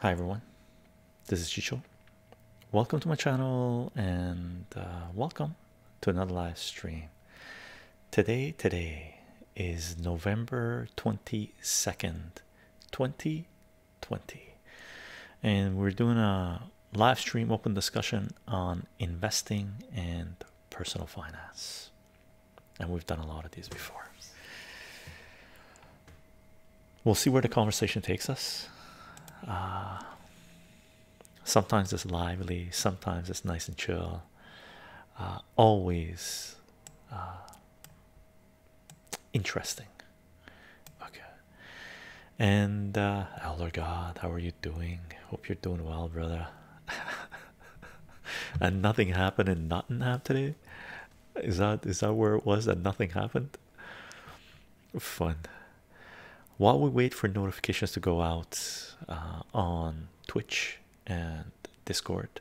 Hi everyone, this is Chicho. Welcome to my channel and uh, welcome to another live stream. Today, today is November 22nd, 2020, and we're doing a live stream open discussion on investing and personal finance. And we've done a lot of these before. We'll see where the conversation takes us. Uh, sometimes it's lively, sometimes it's nice and chill. Uh, always uh, interesting. Okay and uh, elder oh, god how are you doing hope you're doing well brother and nothing happened in nottingham today is that is that where it was that nothing happened fun while we wait for notifications to go out uh, on twitch and discord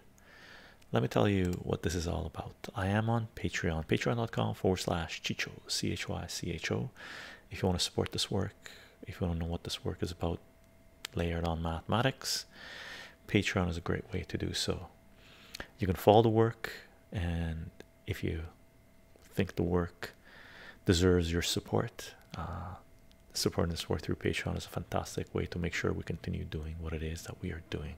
let me tell you what this is all about i am on patreon patreon.com forward slash chicho c-h-y-c-h-o if you want to support this work, if you don't know what this work is about, layered on mathematics, Patreon is a great way to do so. You can follow the work, and if you think the work deserves your support, uh, supporting this work through Patreon is a fantastic way to make sure we continue doing what it is that we are doing.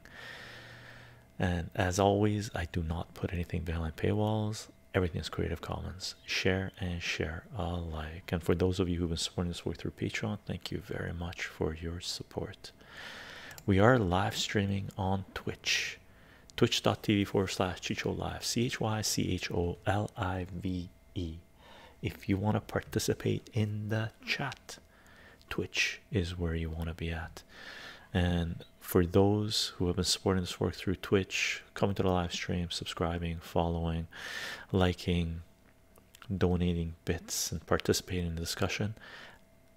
And as always, I do not put anything behind paywalls everything is Creative Commons. Share and share alike. And for those of you who've been supporting this work through Patreon, thank you very much for your support. We are live streaming on Twitch, twitch.tv forward slash Chicho Live, C H Y C H O L I V E. If you want to participate in the chat, Twitch is where you want to be at. And for those who have been supporting this work through Twitch, coming to the live stream, subscribing, following, liking, donating bits, and participating in the discussion,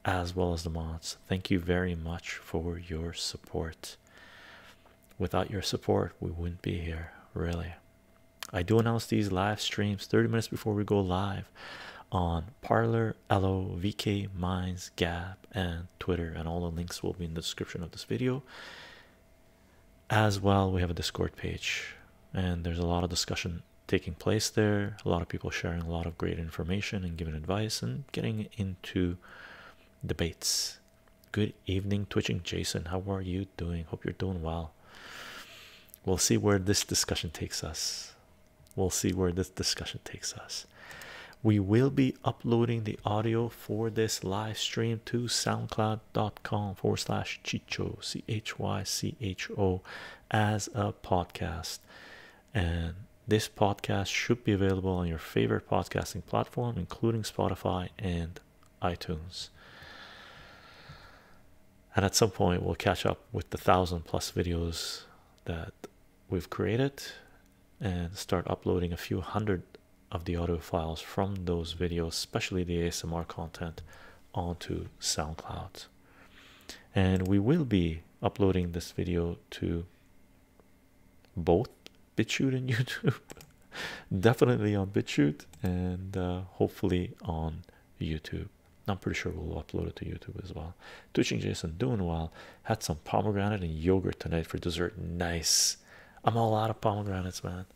as well as the mods. Thank you very much for your support. Without your support, we wouldn't be here, really. I do announce these live streams 30 minutes before we go live on Parlor, Ello, Minds, Gab, and Twitter, and all the links will be in the description of this video. As well, we have a Discord page, and there's a lot of discussion taking place there. A lot of people sharing a lot of great information and giving advice and getting into debates. Good evening, twitching Jason. How are you doing? Hope you're doing well. We'll see where this discussion takes us. We'll see where this discussion takes us we will be uploading the audio for this live stream to soundcloud.com forward slash chicho c h y c h o as a podcast and this podcast should be available on your favorite podcasting platform including spotify and itunes and at some point we'll catch up with the thousand plus videos that we've created and start uploading a few hundred of the audio files from those videos, especially the ASMR content, onto SoundCloud. And we will be uploading this video to both BitChute and YouTube, definitely on BitChute, and uh, hopefully on YouTube. I'm pretty sure we'll upload it to YouTube as well. Twitching Jason doing well. Had some pomegranate and yogurt tonight for dessert. Nice. I'm all out of pomegranates, man.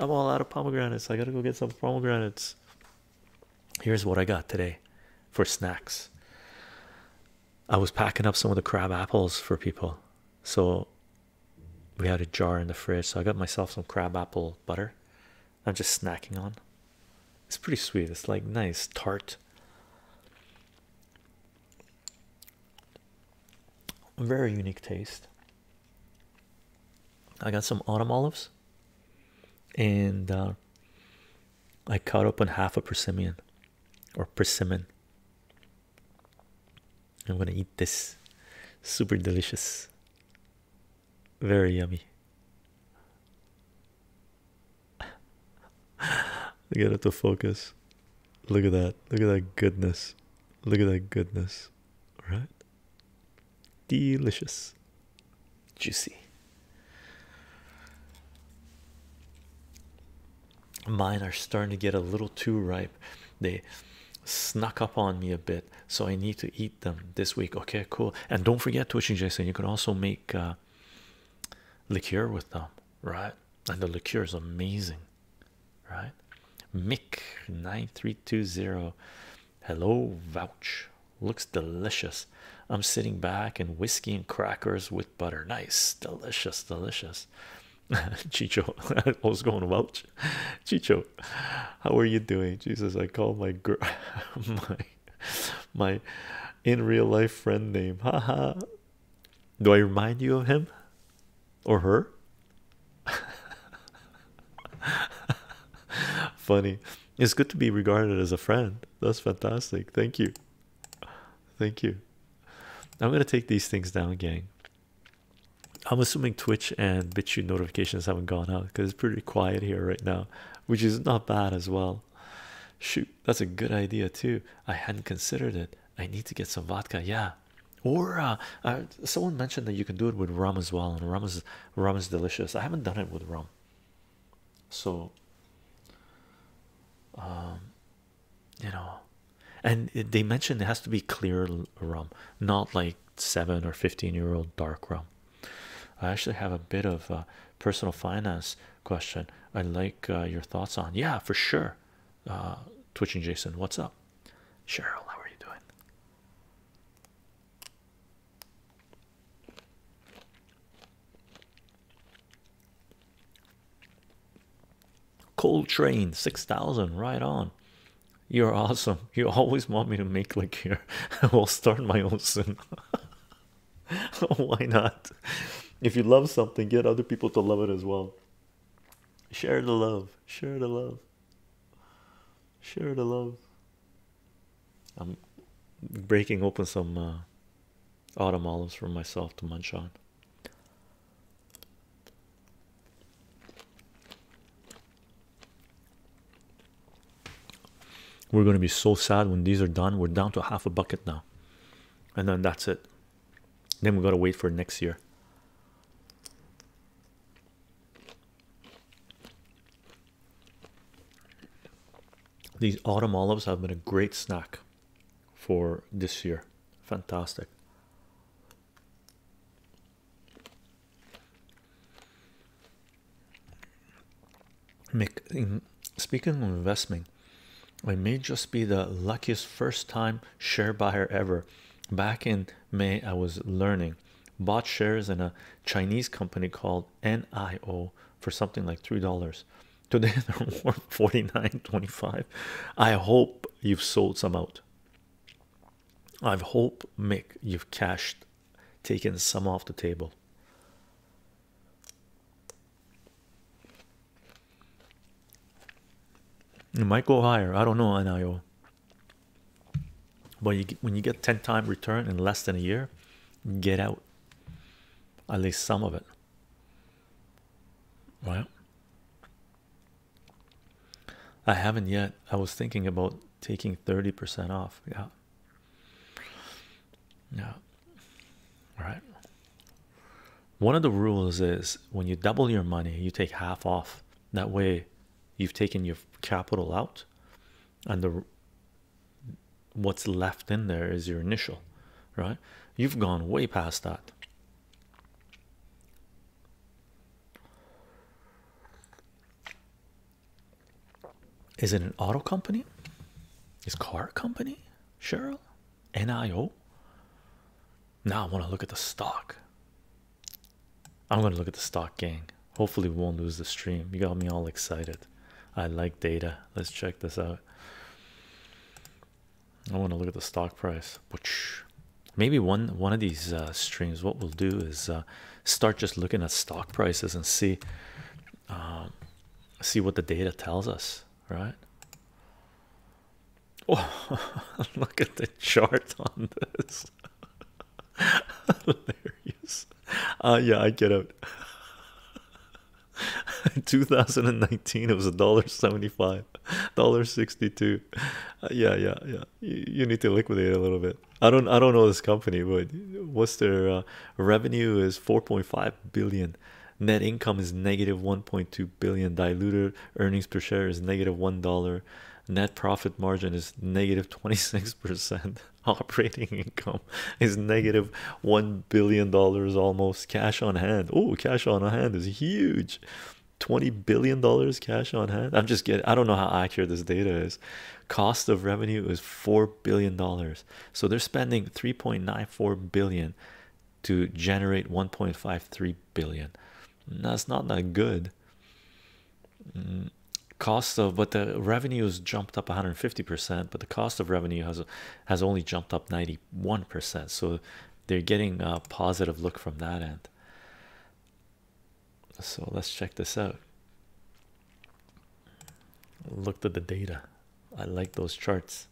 I'm all out of pomegranates. I gotta go get some pomegranates. Here's what I got today for snacks. I was packing up some of the crab apples for people, so we had a jar in the fridge. So I got myself some crab apple butter. I'm just snacking on. It's pretty sweet. It's like nice tart. Very unique taste. I got some autumn olives, and uh, I cut open half a persimmon, or persimmon. I'm gonna eat this. Super delicious. Very yummy. I Get it to focus. Look at that. Look at that goodness. Look at that goodness. Right? Delicious. Juicy. Mine are starting to get a little too ripe. They snuck up on me a bit, so I need to eat them this week. Okay, cool. And don't forget, Twitching Jason, you can also make uh, liqueur with them, right? And the liqueur is amazing right? Mick 9320. Hello, vouch. Looks delicious. I'm sitting back and whiskey and crackers with butter. Nice, delicious, delicious. Chicho, I was going Vouch. Chicho, how are you doing? Jesus, I called my girl my my in real life friend name. Ha ha. Do I remind you of him? or her. Funny. It's good to be regarded as a friend. That's fantastic. Thank you. Thank you. I'm gonna take these things down, gang. I'm assuming Twitch and BitChute notifications haven't gone out because it's pretty quiet here right now, which is not bad as well. Shoot, that's a good idea too. I hadn't considered it. I need to get some vodka. Yeah, or uh, uh, someone mentioned that you can do it with rum as well and rum is rum is delicious i haven't done it with rum so um, you know and they mentioned it has to be clear rum not like 7 or 15 year old dark rum i actually have a bit of a personal finance question i'd like uh, your thoughts on yeah for sure uh, twitching Jason. What's up, Cheryl? How are you doing? Cold train 6000 right on. You're awesome. You always want me to make like here. I will start my own soon. Why not? If you love something, get other people to love it as well. Share the love. Share the love. Share the love. I'm breaking open some uh, autumn olives for myself to munch on. We're going to be so sad when these are done. We're down to half a bucket now, and then that's it. Then we gotta wait for next year. These autumn olives have been a great snack for this year. Fantastic. Mc, speaking of investing. I may just be the luckiest first time share buyer ever. Back in May, I was learning, bought shares in a Chinese company called NIO for something like three dollars. Today they're worth 49.25. I hope you've sold some out. I hope Mick you've cashed taken some off the table. It might go higher. I don't know NIO. But when you get 10 time return in less than a year, get out. At least some of it. Right? I haven't yet. I was thinking about taking 30% off. Yeah. Yeah. Right. One of the rules is when you double your money, you take half off. That way, you've taken your capital out, and the what's left in there is your initial, right? You've gone way past that. Is it an auto company? Is car company? Cheryl? NIO? Now I want to look at the stock. I'm going to look at the stock, gang. Hopefully, we won't lose the stream. You got me all excited. I like data. Let's check this out. I want to look at the stock price. Maybe one one of these uh, streams, what we'll do is uh, start just looking at stock prices and see um, see what the data tells us, right? Oh, look at the chart on this. Hilarious. Uh, yeah, I get out. 2019, it was a dollar 75, dollar 62. Uh, yeah, yeah, yeah. You, need to liquidate a little bit. I don't, I don't know this company, but what's their uh, revenue is 4.5 billion, net income is negative 1.2 billion. Diluted earnings per share is negative one dollar. Net profit margin is negative 26 percent. Operating income is negative one billion dollars almost. Cash on hand. Oh, cash on hand is huge. 20 billion dollars cash on hand. I'm just kidding. I don't know how accurate this data is. Cost of revenue is 4 billion dollars. So they're spending 3.94 billion to generate 1.53 billion. That's not that good. Mm, cost of but the revenues jumped up 150 percent, but the cost of revenue has has only jumped up 91 percent. So they're getting a positive look from that end. So let's check this out. Looked at the data. I like those charts.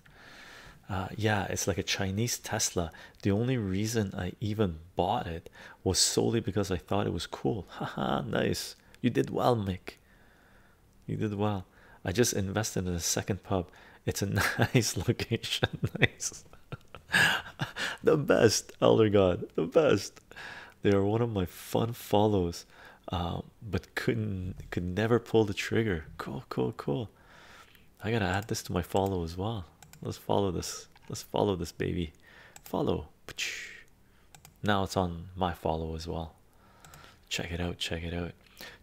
Uh, yeah, it's like a Chinese Tesla the only reason I even bought it was solely because I thought it was cool. Haha, nice. You did well, Mick. You did well. I just invested in a second pub. It's a nice location. nice. the best, Elder God. The best. They are one of my fun follows. Uh, but couldn't could never pull the trigger. Cool, cool, cool. I gotta add this to my follow as well. Let's follow this. Let's follow this baby. Follow. Now it's on my follow as well. Check it out. Check it out.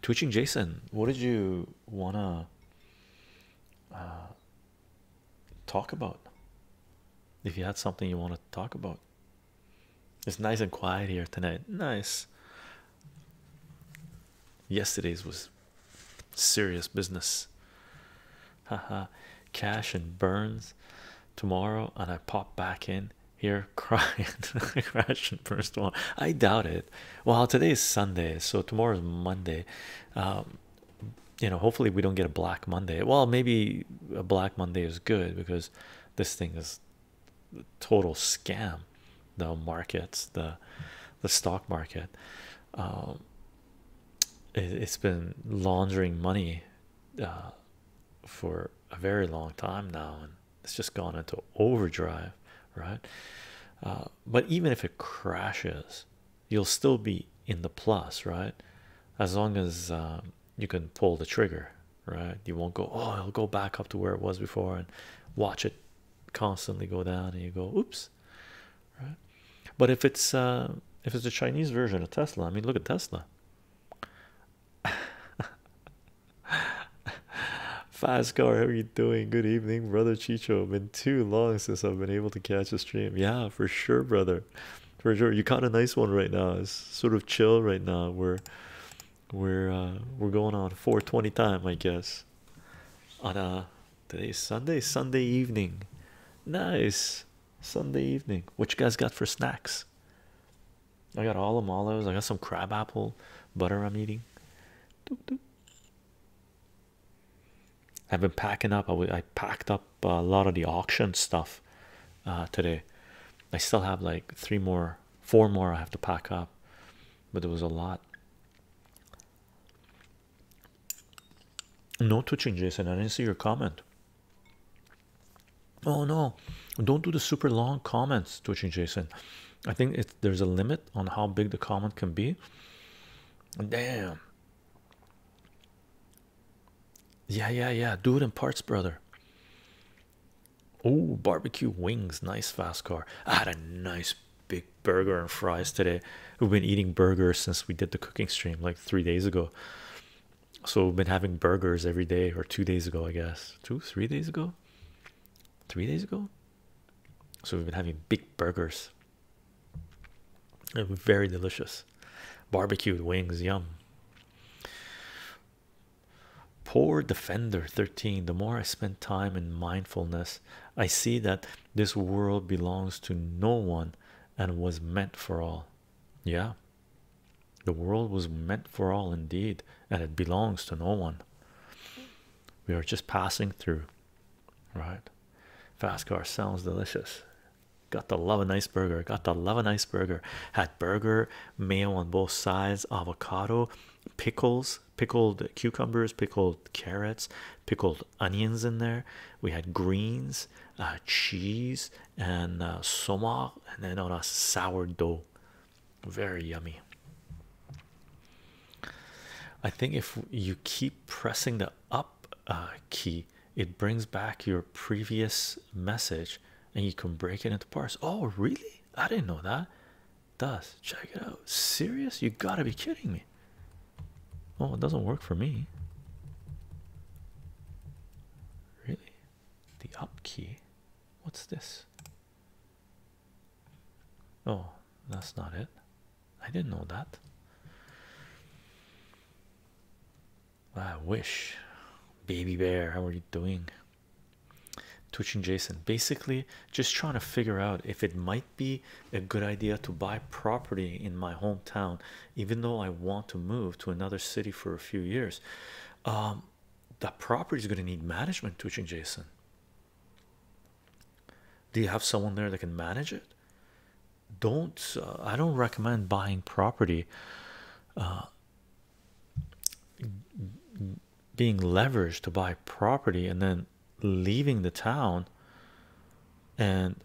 Twitching Jason, what did you wanna uh, talk about? If you had something you want to talk about, it's nice and quiet here tonight. Nice. Yesterday's was serious business. Haha, cash and burns tomorrow, and I pop back in here crying. Crash and burns I doubt it. Well, today is Sunday, so tomorrow is Monday. Um, you know, hopefully, we don't get a Black Monday. Well, maybe a Black Monday is good because this thing is total scam the markets the the stock market um, it's been laundering money uh, for a very long time now, and it's just gone into overdrive, right? Uh, but even if it crashes, you'll still be in the plus, right? As long as um, you can pull the trigger, right? You won't go, oh, it'll go back up to where it was before and watch it constantly go down, and you go, oops. But if it's uh, if it's the Chinese version of Tesla, I mean, look at Tesla. Fastcar, how are you doing? Good evening, brother Chicho. Been too long since I've been able to catch a stream. Yeah, for sure, brother. For sure, you caught a nice one right now. It's sort of chill right now. We're we're uh, we're going on 420 time, I guess, on Today's Sunday, Sunday evening. Nice Sunday evening. What you guys got for snacks? I got all the I got some crab apple butter I'm eating. I've been packing up. I, I packed up a lot of the auction stuff uh, today. I still have like three more, four more I have to pack up, but it was a lot. No twitching, Jason. I didn't see your comment. Oh no, don't do the super long comments, twitching Jason. I think it's there's a limit on how big the comment can be. Damn. Yeah, yeah, yeah. Do it in parts, brother. Oh, barbecue wings, nice fast car. I had a nice big burger and fries today. We've been eating burgers since we did the cooking stream like three days ago. So we've been having burgers every day, or two days ago, I guess. Two, three days ago, three days ago. So we've been having big burgers. very delicious. Barbecued wings, yum. Poor defender 13. The more I spend time in mindfulness, I see that this world belongs to no one and was meant for all. Yeah, the world was meant for all indeed, and it belongs to no one. We are just passing through, right? Fast car sounds delicious. Got to love and ice burger, got to love and ice burger. Had burger, mayo on both sides, avocado, pickles, pickled cucumbers, pickled carrots, pickled onions in there. We had greens, uh, cheese, and uh, and then on a sourdough. Very yummy. I think if you keep pressing the up uh, key, it brings back your previous message and you can break it into parts. Oh, really? I didn't know that. Does check it out. Serious? You gotta be kidding me. Oh, it doesn't work for me. Really? The up key? What's this? Oh, that's not it. I didn't know that. I wish. Baby bear, how are you doing? Twitching Jason. Basically, just trying to figure out if it might be a good idea to buy property in my hometown, even though I want to move to another city for a few years. Um, that property is going to need management, Twitching Jason. Do you have someone there that can manage it? Don't uh, I don't recommend buying property, uh, being leveraged to buy property and then leaving the town and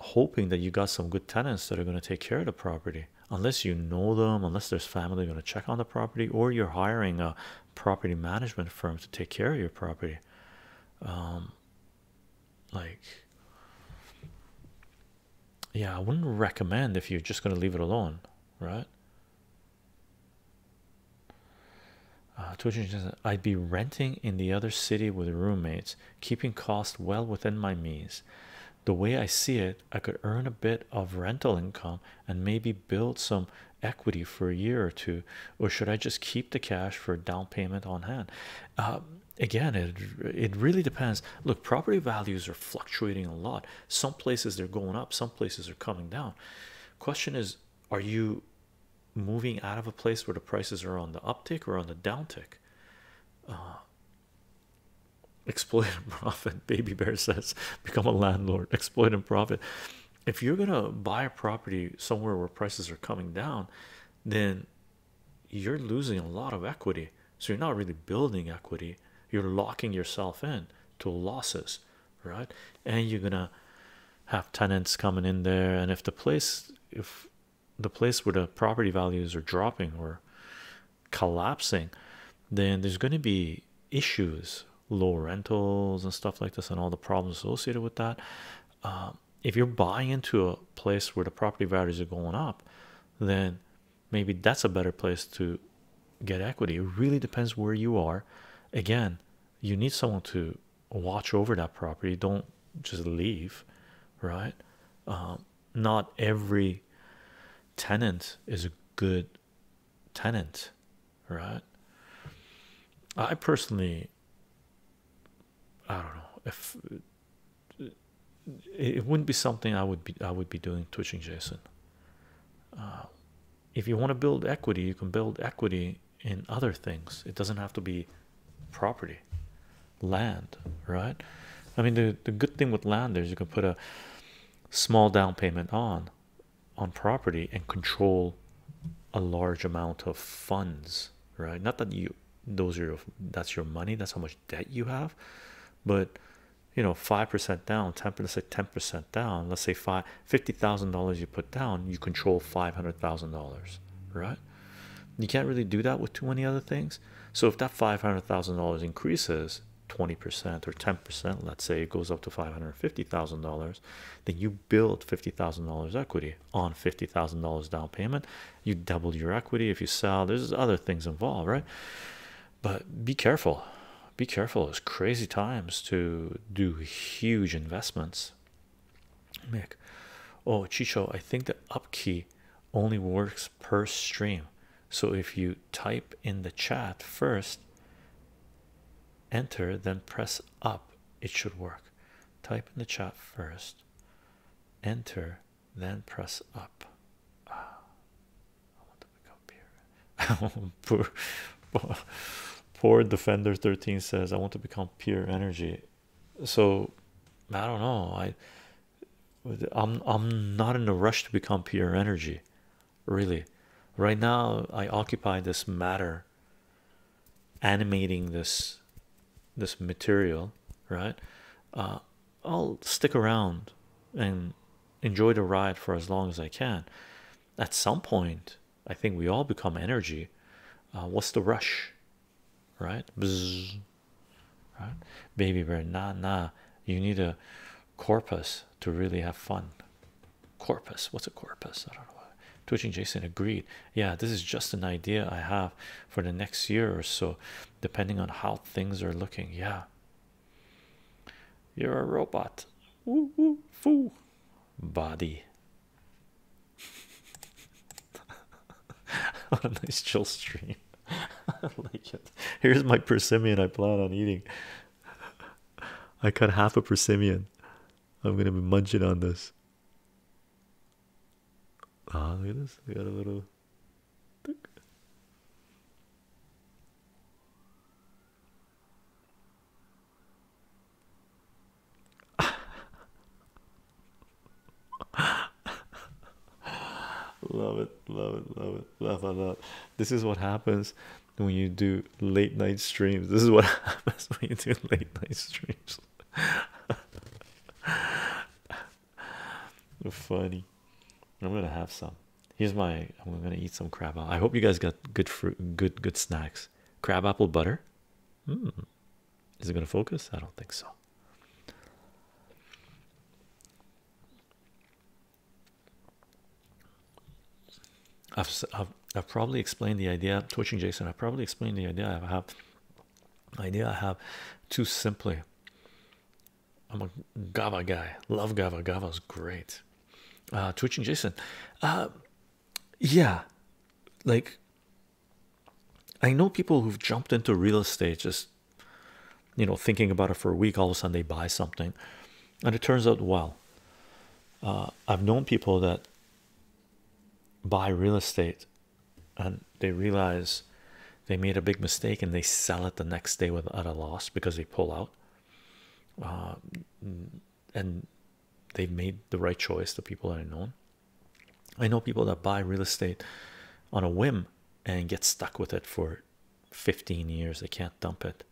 hoping that you got some good tenants that are going to take care of the property unless you know them unless there's family going to check on the property or you're hiring a property management firm to take care of your property um like yeah i wouldn't recommend if you're just going to leave it alone right uh, I'd be renting in the other city with roommates, keeping costs well within my means. The way I see it, I could earn a bit of rental income and maybe build some equity for a year or two, or should I just keep the cash for a down payment on hand? Uh, again, it it really depends. Look, property values are fluctuating a lot. Some places they're going up, some places are coming down. Question is, are you moving out of a place where the prices are on the uptick or on the downtick. Uh, exploit and profit, baby bear says, become a landlord, exploit and profit. If you're gonna buy a property somewhere where prices are coming down, then you're losing a lot of equity, so you're not really building equity, you're locking yourself in to losses, right? And you're gonna have tenants coming in there, and if the place if the place where the property values are dropping or collapsing, then there's going to be issues, low rentals and stuff like this, and all the problems associated with that. Um, if you're buying into a place where the property values are going up, then maybe that's a better place to get equity. It really depends where you are. Again, you need someone to watch over that property don't just leave right um, not every tenant is a good tenant right i personally i don't know if it wouldn't be something i would be i would be doing twitching jason uh, if you want to build equity you can build equity in other things. It doesn't have to be property, land, right? I mean, the the good thing with land is you can put a small down payment on on property and control a large amount of funds, right? Not that you those are your, that's your money, that's how much debt you have, but you know, five percent down, ten percent, say ten percent down. Let's say fifty thousand dollars you put down, you control five hundred thousand dollars, right? You can't really do that with too many other things. So if that five hundred thousand dollars increases 20% or 10%, let's say it goes up to five hundred fifty thousand dollars, then you build fifty thousand dollars equity on fifty thousand dollars down payment. You double your equity if you sell. There's other things involved, right? But be careful, be careful. It's crazy times to do huge investments. Mick, oh Chicho, I think the up key only works per stream. So if you type in the chat first, enter, then press up, it should work. Type in the chat first, enter, then press up. Ah, I want to become pure. poor, poor defender 13 says, I want to become pure energy so I don't know. I I'm I'm not in a rush to become pure energy, really. Right now, I occupy this matter, animating this this material. Right, uh, I'll stick around and enjoy the ride for as long as I can. At some point, I think we all become energy. Uh, what's the rush? right? Bzz, right? Baby bear, nah, nah. You need a corpus to really have fun. Corpus, what's a corpus? I don't know. Twitching Jason agreed. Yeah, this is just an idea I have for the next year or so, depending on how things are looking. Yeah. You're a robot. Woo woo foo. Body. what a nice chill stream. I like it. Here's my persimmon I plan on eating. I cut half a persimmon. I'm gonna be munching on this. Ah, look at this. We got a little. love it, love it, love it, love it, love it. This is what happens when you do late night streams. This is what happens when you do late night streams. Funny. I'm gonna have some. Here's my. I'm gonna eat some crab. I hope you guys got good fruit, good good snacks. Crabapple butter. Hmm. Is it going to focus? I don't think so. I've, I've, probably explained the idea, twitching Jason. I have probably explained the idea I have, idea I have too simply. I'm a Gava guy, love Gava. is great. Uh, twitching Jason, uh, yeah, like I know people who've jumped into real estate just you know thinking about it for a week all of a sudden they buy something and it turns out well uh, I've known people that buy real estate and they realize they made a big mistake and they sell it the next day with at a loss because they pull out uh, and they've made the right choice the people that I know I know people that buy real estate on a whim and get stuck with it for 15 years, they can't dump it.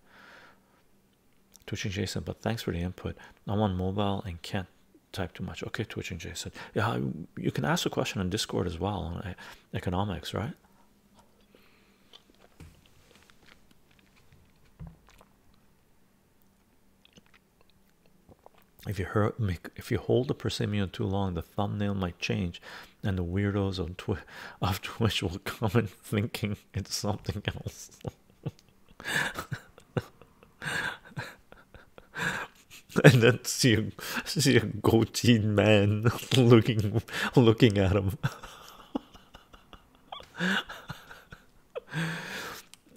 Twitching Jason, but thanks for the input. I'm on mobile and can't type too much. Okay, Twitching Jason, yeah, you can ask a question on Discord as well on eh, economics, right? If you hold the persimmon too long, the thumbnail might change, and the weirdos on Twitch of Twitch will comment thinking it's something else. and then see a see man looking looking at him.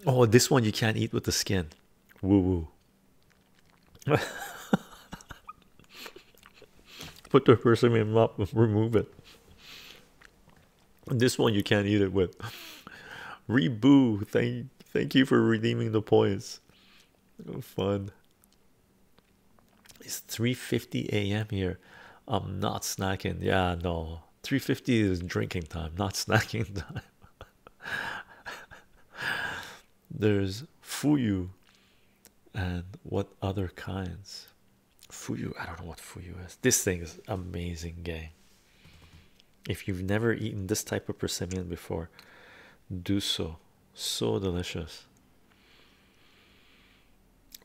oh, this one you can't eat with the skin. Woo woo. Put the persimmon up, remove it. This one you can't eat it with. Reboo, thank thank you for redeeming the points. fun. It's 3:50 a.m. here. I'm not snacking. Yeah, no. 3:50 is drinking time, not snacking time. There's fuyu and what other kinds? Fuyu, I don't know what fuyu is. This thing is amazing game. If you've never eaten this type of persimmon before, do so. So delicious.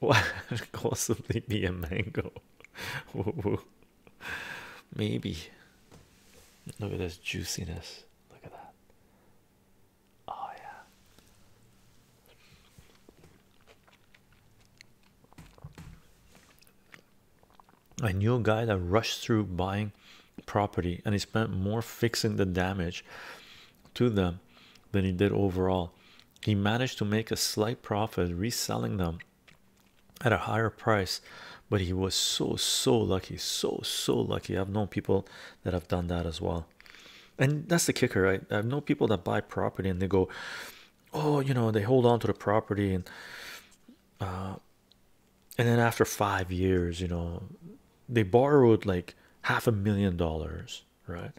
What could possibly be a mango? Maybe. Look at this juiciness. Look at that. Oh, yeah. I knew a guy that rushed through buying property and he spent more fixing the damage to them than he did overall. He managed to make a slight profit reselling them at a higher price but he was so so lucky so so lucky i've known people that have done that as well and that's the kicker right i've known people that buy property and they go oh you know they hold on to the property and uh and then after five years you know they borrowed like half a million dollars right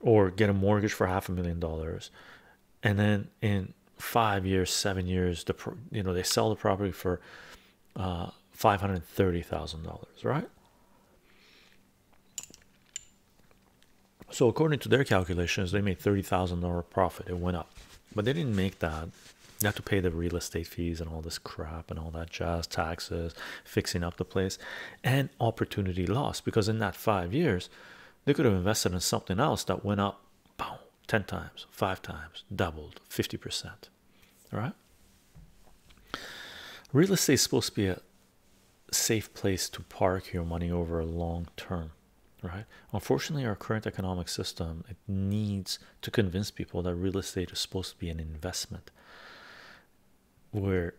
or get a mortgage for half a million dollars and then in five years, seven years, the you know, they sell the property for uh, five hundred thirty thousand dollars, right? So, according to their calculations, they made thirty thousand dollar profit, it went up, but they didn't make that. You have to pay the real estate fees and all this crap and all that jazz taxes, fixing up the place, and opportunity loss because in that five years, they could have invested in something else that went up boom, 10 times, 5 times, doubled 50%. All right, real estate is supposed to be a safe place to park your money over a long term, right? Unfortunately, our current economic system it needs to convince people that real estate is supposed to be an investment where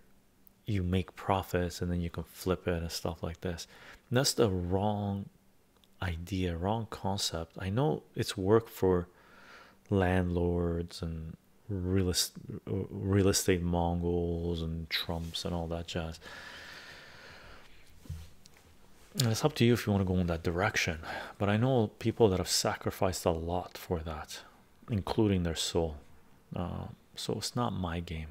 you make profits and then you can flip it and stuff like this. that's the wrong idea wrong concept i know it's work for landlords and real estate real estate mongols and trumps and all that jazz it's up to you if you want to go in that direction but i know people that have sacrificed a lot for that including their soul uh, so it's not my game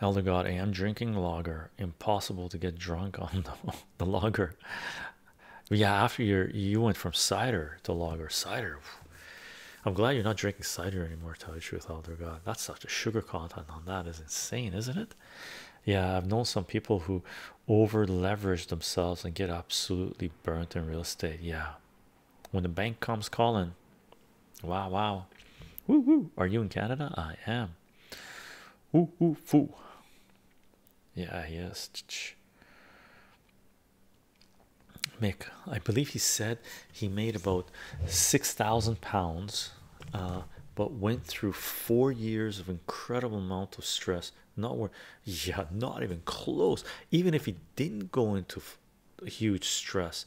Elder God, I am drinking lager. Impossible to get drunk on the, the lager. Yeah, after you you went from cider to lager. Cider. I'm glad you're not drinking cider anymore, tell you the truth, Elder God. That's such a sugar content on that is insane, isn't it? Yeah, I've known some people who over leverage themselves and get absolutely burnt in real estate. Yeah. When the bank comes calling, Wow, wow. Woo woo. Are you in Canada? I am. Woo woo foo. Yeah, Yes. Mick, I believe he said he made about six thousand pounds, uh, but went through four years of incredible amount of stress. Not where, yeah, not even close. Even if he didn't go into huge stress,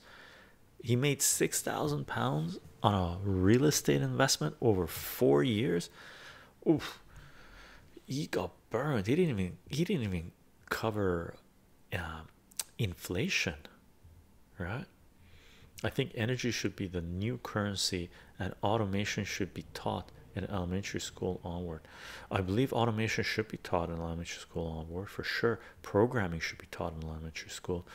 he made six thousand pounds on a real estate investment over four years. Oof, he got burned. He didn't even he didn't even cover uh, inflation, right? I think energy should be the new currency, and automation should be taught in elementary school onward. I believe automation should be taught in elementary school onward for sure programming should be taught in elementary school.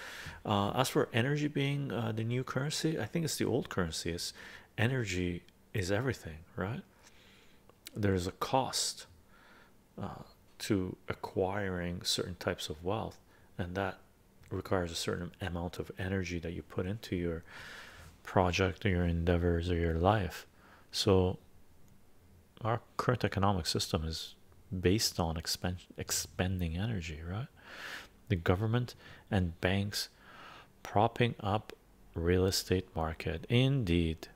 Uh, as for energy being uh, the new currency, I think it's the old currency. Is energy is everything, right? There's a cost uh, to acquiring certain types of wealth, and that requires a certain amount of energy that you put into your project or your endeavors or your life. So, our current economic system is based on expend expending energy, right? The government and banks propping up real estate market. Indeed,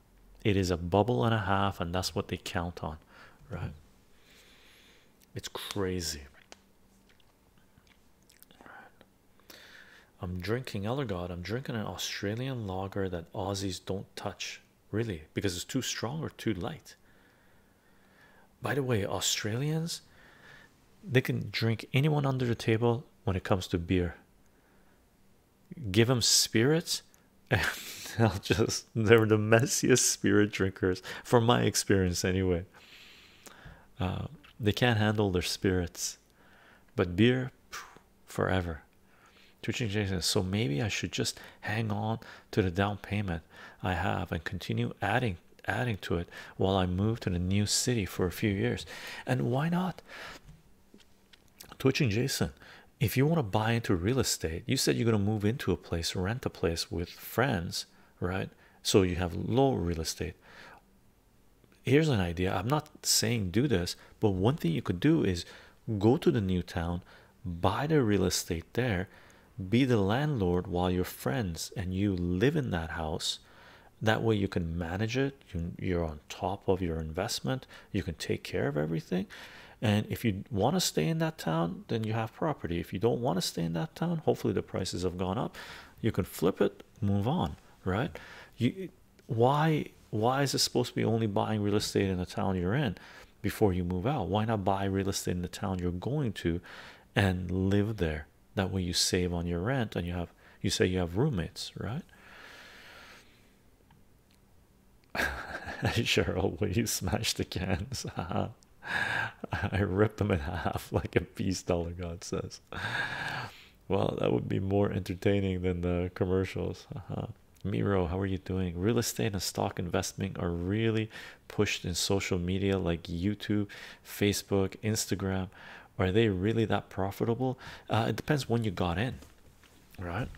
it is a bubble and a half, and that's what they count on, right? It's crazy. I'm drinking Elder I'm drinking an Australian lager that Aussies don't touch really because it's too strong or too light. By the way, Australians they can drink anyone under the table when it comes to beer. Give them spirits, and they'll just they're the messiest spirit drinkers from my experience, anyway. Uh, they can't handle their spirits, but beer forever. Twitching Jason, so maybe I should just hang on to the down payment I have and continue adding adding to it while I move to the new city for a few years. And why not? Twitching Jason, if you want to buy into real estate, you said you're going to move into a place, rent a place with friends, right? So you have low real estate. Here's an idea. I'm not saying do this, but one thing you could do is go to the new town, buy the real estate there, be the landlord while your friends and you live in that house. That way, you can manage it, you, are on top of your investment, you can take care of everything. And if you want to stay in that town, then you have property. If you don't want to stay in that town, hopefully the prices have gone up. You can flip it, move on, right? why why is it supposed to be only buying real estate in the town you're in? before you move out. Why not buy real estate in the town you're going to and live there? That way you save on your rent and you have you say you have roommates, right? Cheryl, will you smash the cans? I rip them in half like a beast. Dollar God says. Well, that would be more entertaining than the commercials. Uh -huh. Miro, how are you doing? Real estate and stock investing are really pushed in social media like YouTube, Facebook, Instagram? Are they really that profitable? Uh, it depends when you got in, right?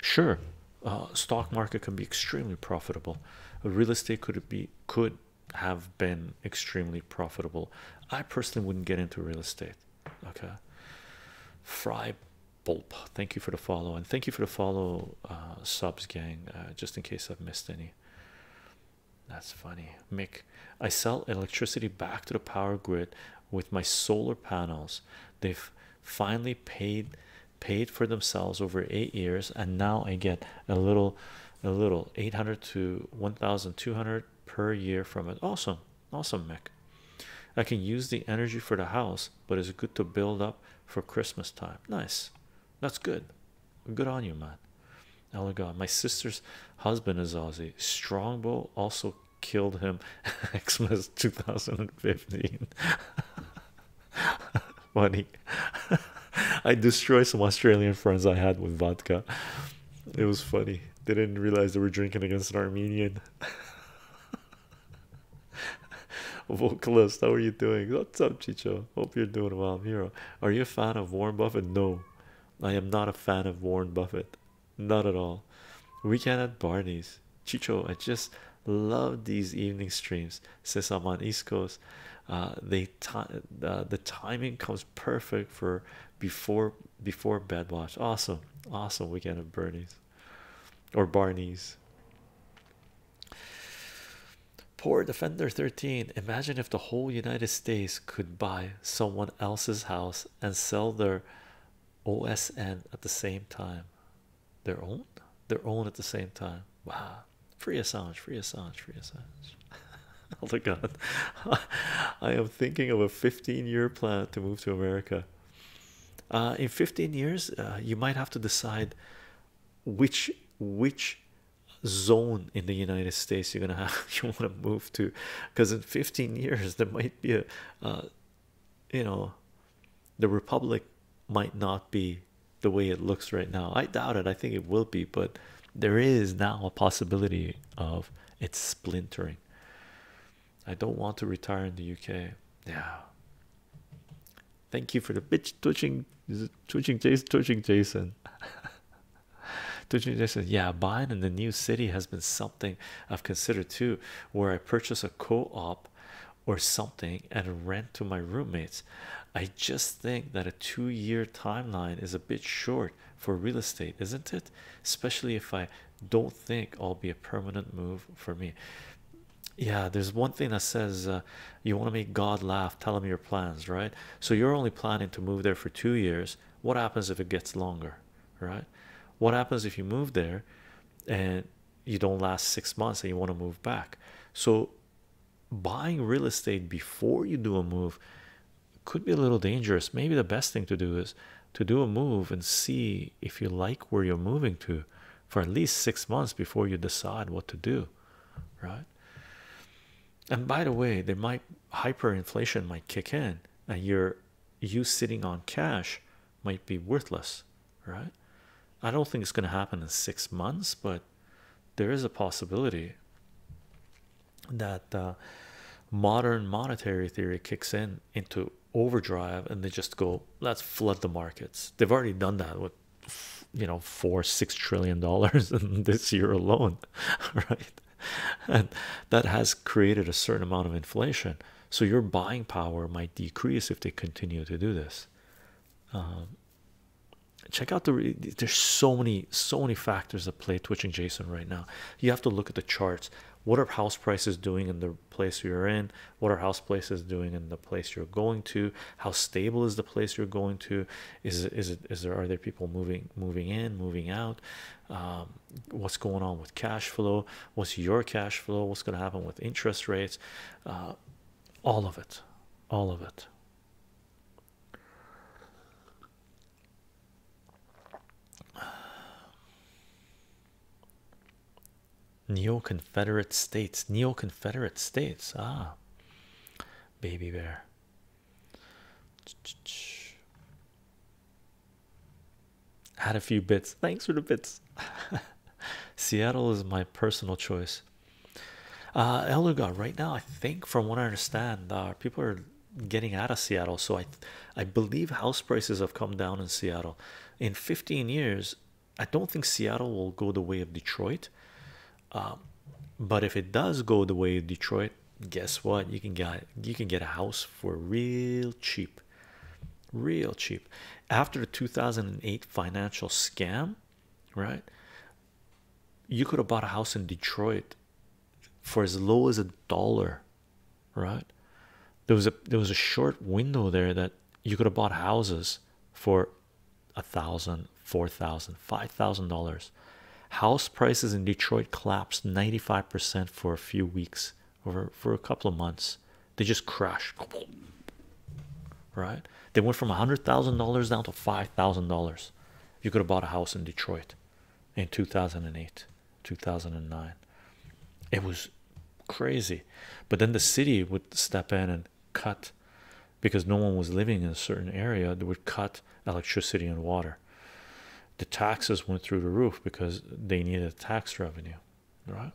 Sure, uh, stock market can be extremely profitable. Real estate could be could have been extremely profitable. I personally wouldn't get into real estate. Okay, Fry Bulp, thank you for the follow, and thank you for the follow, uh, subs, gang, uh, just in case I've missed any. That's funny, Mick. I sell electricity back to the power grid with my solar panels. They've finally paid paid for themselves over eight years, and now I get a little, a little eight hundred to one thousand two hundred per year from it. Awesome, awesome, Mick. I can use the energy for the house, but it's good to build up for Christmas time. Nice. That's good. Good on you, man. Oh God, my sister's husband is Aussie. Strongbow also killed him. Xmas 2015. Funny. I destroyed some Australian friends I had with vodka. It was funny. They didn't realize they were drinking against an Armenian. Vocalist, how are you doing? What's up, Chicho? Hope you're doing well. i Hero. Are you a fan of Warren Buffett? No, I am not a fan of Warren Buffett. Not at all. Weekend at Barney's. Chicho, I just love these evening streams. Since I'm on East Coast, uh, they uh, the timing comes perfect for before before bed watch. Awesome, awesome weekend at Bernie's or Barney's. Poor Defender 13. Imagine if the whole United States could buy someone else's house and sell their OSN at the same time. Their own? Their own at the same time. Wow. Free Assange, free Assange, free Assange. oh my god. I am thinking of a 15 year plan to move to America. Uh, in 15 years, uh, you might have to decide which which zone in the United States you're gonna you want to move to because in 15 years there might be a uh, you know the Republic might not be the way it looks right now. I doubt it. I think it will be, but there is now a possibility of it splintering. I don't want to retire in the UK. Yeah, Thank you for the bitch twitching. Is Jason? Twitching Jason. twitching Jason. Yeah, buying in the new city has been something I've considered too, where I purchase a co-op or something and rent to my roommates. I just think that a two-year timeline is a bit short for real estate, isn't it? Especially if I don't think I'll be a permanent move for me yeah there's one thing that says uh, you want to make god laugh tell him your plans right so you're only planning to move there for two years what happens if it gets longer right what happens if you move there and you don't last six months and you want to move back so buying real estate before you do a move could be a little dangerous maybe the best thing to do is to do a move and see if you like where you're moving to for at least six months before you decide what to do right and by the way, there might hyperinflation might kick in, and your you sitting on cash might be worthless, right? I don't think it's going to happen in six months, but there is a possibility that uh, modern monetary theory kicks in into overdrive and they just go let's flood the markets they've already done that with you know four six trillion dollars in this year alone right and that has created a certain amount of inflation so your buying power might decrease if they continue to do this um, check out the there's so many so many factors that play twitching jason right now you have to look at the charts what are house prices doing in the place you're in what are house prices doing in the? place you're going to how stable is the place you're going to is it, is it is there are there people moving moving in moving out um, what's going on with cash flow what's your cash flow what's going to happen with interest rates uh, all of it all of it Neo Confederate States, Neo Confederate States. Ah, baby bear. Add a few bits. Thanks for the bits. Seattle is my personal choice. Uh, Eluga, right now, I think, from what I understand, uh, people are getting out of Seattle. So I, I believe house prices have come down in Seattle. In 15 years, I don't think Seattle will go the way of Detroit. Um, but if it does go the way of Detroit, guess what? You can get you can get a house for real cheap, real cheap. After the 2008 financial scam, right? You could have bought a house in Detroit for as low as a dollar, right? There was a there was a short window there that you could have bought houses for a thousand, four thousand, five thousand dollars. House prices in Detroit collapsed 95% for a few weeks over for a couple of months. They just crashed, right? They went from a hundred thousand dollars down to five thousand dollars. You could have bought a house in Detroit in 2008, 2009. It was crazy, but then the city would step in and cut because no one was living in a certain area they would cut electricity and water. The taxes went through the roof because they needed tax revenue, right?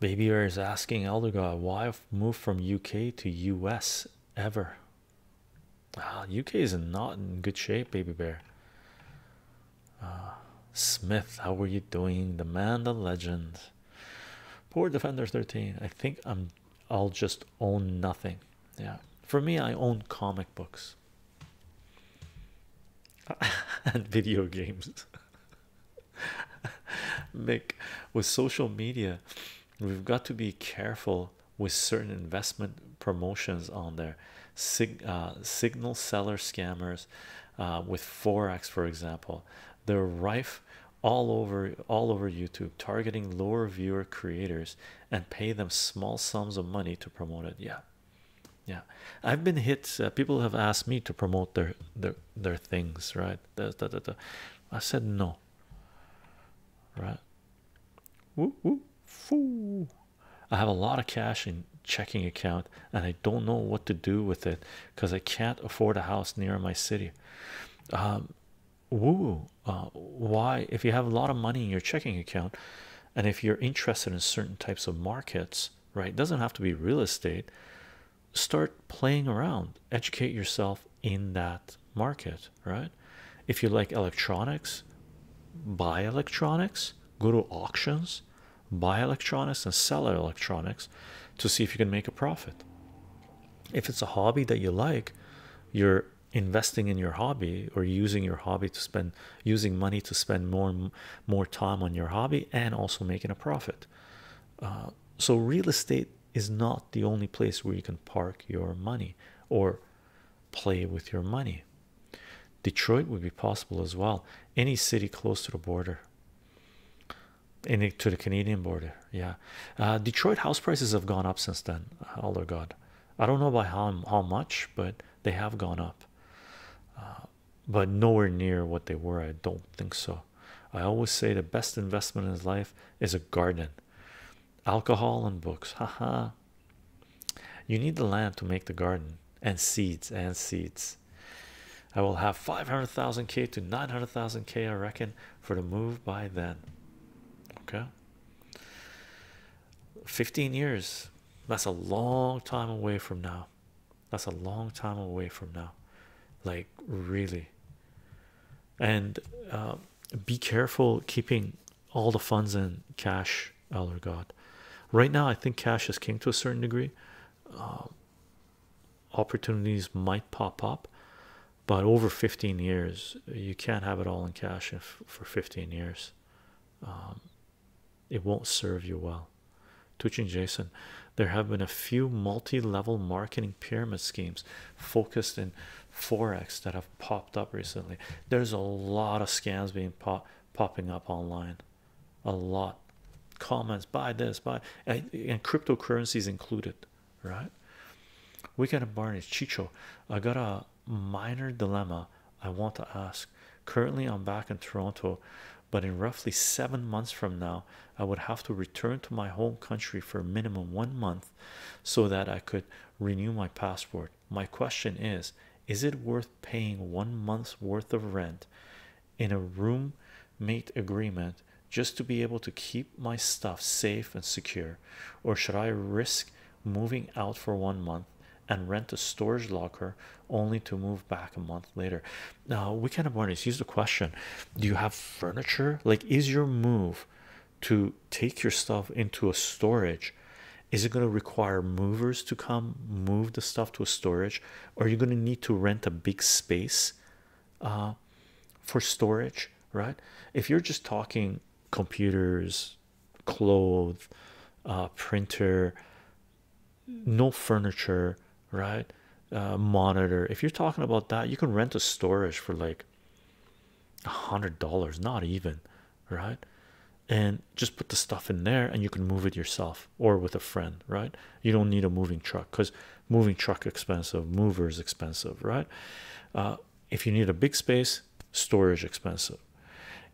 Baby Bear is asking Elder God why move from UK to US ever. Ah, UK is not in good shape, Baby Bear. Ah, Smith, how are you doing? The man, the legend. Poor defenders 13. I think I'm I'll just own nothing. Yeah. For me, I own comic books and video games. Mick, with social media, we've got to be careful with certain investment promotions on there. Uh, signal seller scammers uh, with Forex, for example they're rife all over all over YouTube targeting lower viewer creators and pay them small sums of money to promote it yeah yeah I've been hit uh, people have asked me to promote their their their things right I said no right woo, woo, foo. I have a lot of cash in checking account and I don't know what to do with it because I can't afford a house near my city. Um, woo, uh, why? If you have a lot of money in your checking account, and if you're interested in certain types of markets, right? It doesn't have to be real estate. Start playing around, educate yourself in that market, right? If you like electronics, buy electronics, go to auctions, buy electronics, and sell electronics to see if you can make a profit. If it's a hobby that you like, you're investing in your hobby or using your hobby to spend using money to spend more more time on your hobby and also making a profit. Uh, so real estate is not the only place where you can park your money or play with your money. Detroit would be possible as well. Any city close to the border. Into the Canadian border. Yeah, uh, Detroit house prices have gone up since then. Oh Elder God, I don't know by how how much, but they have gone up. Uh, but nowhere near what they were. I don't think so. I always say the best investment in life is a garden, alcohol and books. Ha ha. you need the land to make the garden and seeds and seeds. I will have 500,000k to 900,000k, I reckon, for the move by then. Okay, 15 years that's a long time away from now. That's a long time away from now, like really. And um, be careful keeping all the funds in cash. Elder God, right now, I think cash is king to a certain degree. Um, opportunities might pop up but over 15 years you can't have it all in cash for 15 years um, it won't serve you well twitching jason there have been a few multi-level marketing pyramid schemes focused in forex that have popped up recently there's a lot of scams being pop popping up online a lot comments buy this buy and, cryptocurrencies included right We got a barney's chicho i got a minor dilemma i want to ask currently i'm back in toronto but in roughly seven months from now i would have to return to my home country for a minimum one month so that i could renew my passport my question is is it worth paying one month's worth of rent in a room mate agreement just to be able to keep my stuff safe and secure, or should I risk moving out for one month and rent a storage locker only to move back a month later? Now, we kind of mornings here's the question Do you have furniture? Like, is your move to take your stuff into a storage? Is it going to require movers to come move the stuff to a storage? are you going to need to rent a big space uh, for storage, right? If you're just talking computers, clothes, uh, printer, no furniture, right? Uh, monitor. If you're talking about that, you can rent a storage for like a hundred dollars, not even, right? And just put the stuff in there, and you can move it yourself or with a friend, right? You don't need a moving truck because moving truck expensive movers expensive right uh, if you need a big space storage expensive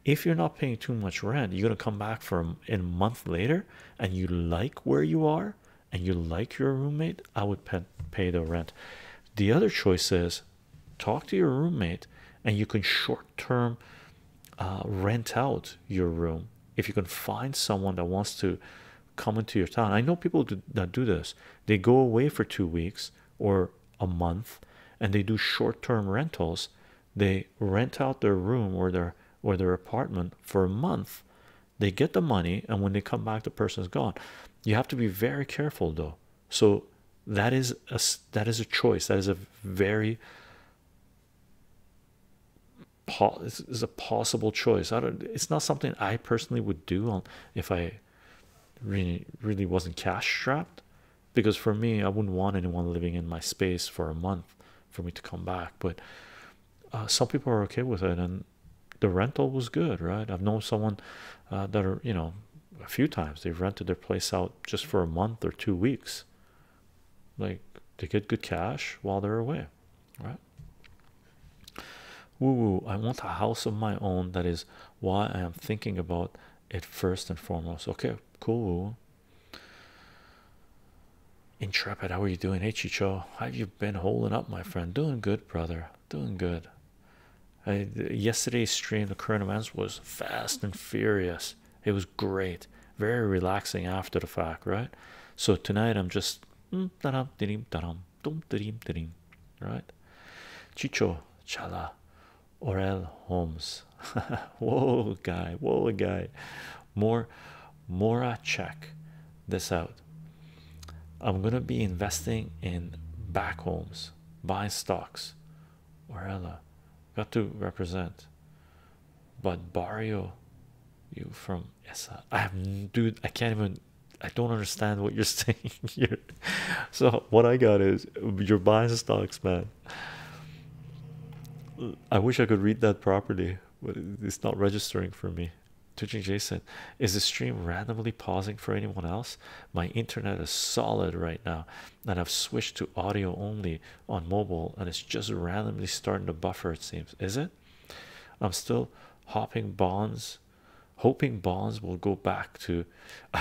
if you're not paying too much rent you're going to come back from in a month later and you like where you are and you like your roommate i would pay, the rent the other choice is talk to your roommate and you can short-term uh, rent out your room if you can find someone that wants to Come into your town. I know people that do this, they go away for two weeks or a month and they do short-term rentals. They rent out their room or their or their apartment for a month. They get the money, and when they come back, the person is gone. You have to be very careful, though. So that is a that is a choice. That is a very this is a possible choice. It's not something I personally would do if I really really wasn't cash strapped, because for me I wouldn't want anyone living in my space for a month for me to come back. But uh, some people are okay with it, and the rental was good, right? I've known someone uh, that are you know a few times they've rented their place out just for a month or two weeks, like to get good cash while they're away right? Woo woo, I want a house of my own. That is why I am thinking about it first and foremost. Okay, cool. Intrepid, how are you doing? Hey, how have you been holding up, my friend? Doing good, brother. Doing good. yesterday's stream, the current events was fast and furious. It was great, very relaxing after the fact, right? So tonight I'm just mm, da da da Tom, dream dream right chicho chala orel holmes whoa guy whoa guy more mora check this out i'm gonna be investing in back homes buy stocks orella got to represent but barrio you from yes uh, i dude i can't even i don't understand what you're saying here so what i got is you're buying stocks man i wish i could read that properly but it's not registering for me twitching jason is the stream randomly pausing for anyone else my internet is solid right now and i've switched to audio only on mobile and it's just randomly starting to buffer it seems is it I'm still hopping bonds, hoping bonds will go back to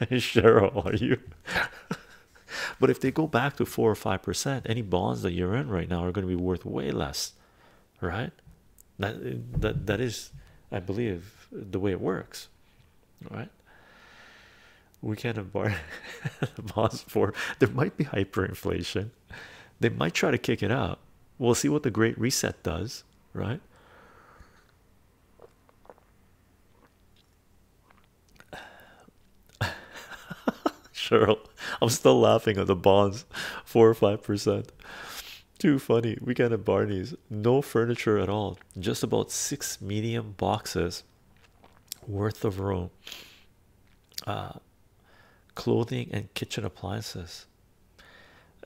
Cheryl. Are you? but if they go back to four or five percent, any bonds that you're in right now are going to be worth way less, right? That that that is, I believe, the way it works, right? We can't embark the bonds for there might be hyperinflation they might try to kick it out. We'll see what the Great Reset does, right? Cheryl, I'm still laughing at the bonds, four or five percent. Too funny. We Weekend at Barney's, no furniture at all, just about six medium boxes worth of room, uh, clothing and kitchen appliances.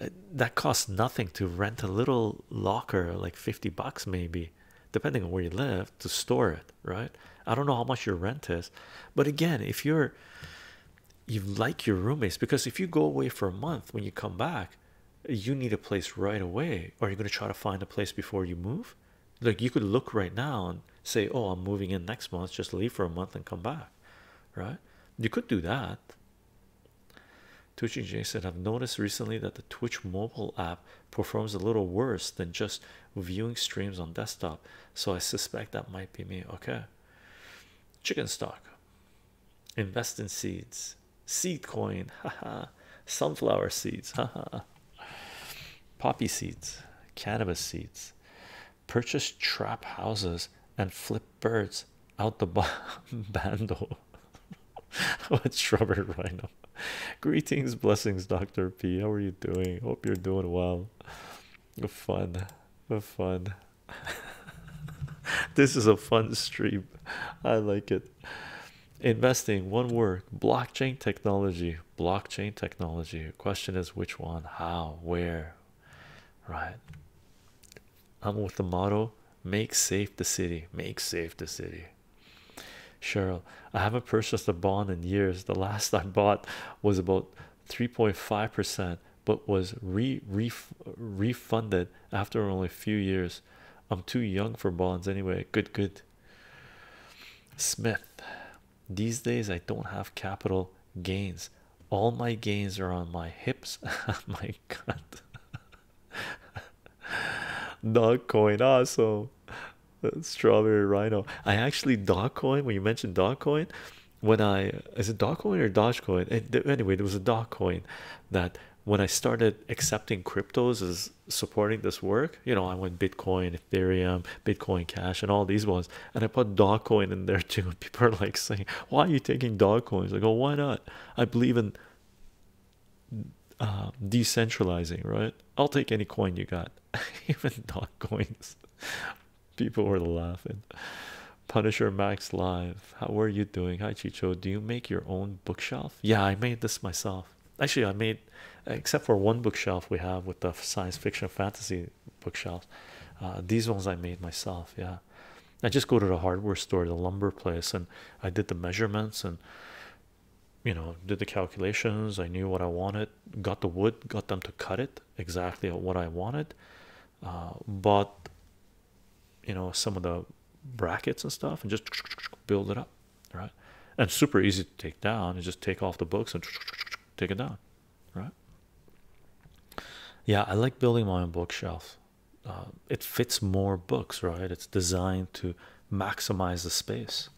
Uh, that costs nothing to rent a little locker like 50 bucks maybe depending on where you live to store it right i don't know how much your rent is but again if you're you like your roommates because if you go away for a month when you come back you need a place right away Are you going to try to find a place before you move like you could look right now and say oh i'm moving in next month just leave for a month and come back right? You could do that. Twitchy J said, I've noticed recently that the Twitch mobile app performs a little worse than just viewing streams on desktop, so I suspect that might be me. Okay, chicken stock, invest in seeds, seed coin, haha, sunflower seeds, haha, poppy seeds, cannabis seeds purchase trap houses and flip birds out the bundle what's robert rhino greetings blessings dr p how are you doing hope you're doing well fun fun this is a fun stream i like it investing one word blockchain technology blockchain technology question is which one how where right? I'm with the motto make safe the city, make safe the city. Cheryl, I haven't purchased a bond in years. The last I bought was about 3.5 percent, but was re, refunded after only a few years. I'm too young for bonds anyway. Good, good. Smith, these days I don't have capital gains. All my gains are on my hips. Oh my god. Dog coin also strawberry rhino. I actually dog coin when you mentioned dog coin when I is it dog coin or Dogecoin? It, anyway, there was a dog coin that when I started accepting cryptos as supporting this work, you know, I went Bitcoin, Ethereum, Bitcoin Cash, and all these ones and I put dog coin in there too. People are like saying, Why are you taking dog coins? I go, Why not? I believe in uh, decentralizing, right? I'll take any coin you got, even dog coins. People were laughing. Punisher Max Live, how are you doing? Hi, Chicho. Do you make your own bookshelf? Yeah, I made this myself. Actually, I made, except for one bookshelf we have with the science fiction fantasy bookshelves. Uh, these ones I made myself. Yeah, I just go to the hardware store, the lumber place, and I did the measurements and you know did the calculations. I knew what I wanted, got the wood, got them to cut it exactly what I wanted. Uh, bought you know some of the brackets and stuff, and just build it up, right? And super easy to take down. You just take off the books and take it down right? Yeah, I like building my own bookshelf. Uh, it fits more books, right? It's designed to maximize the space.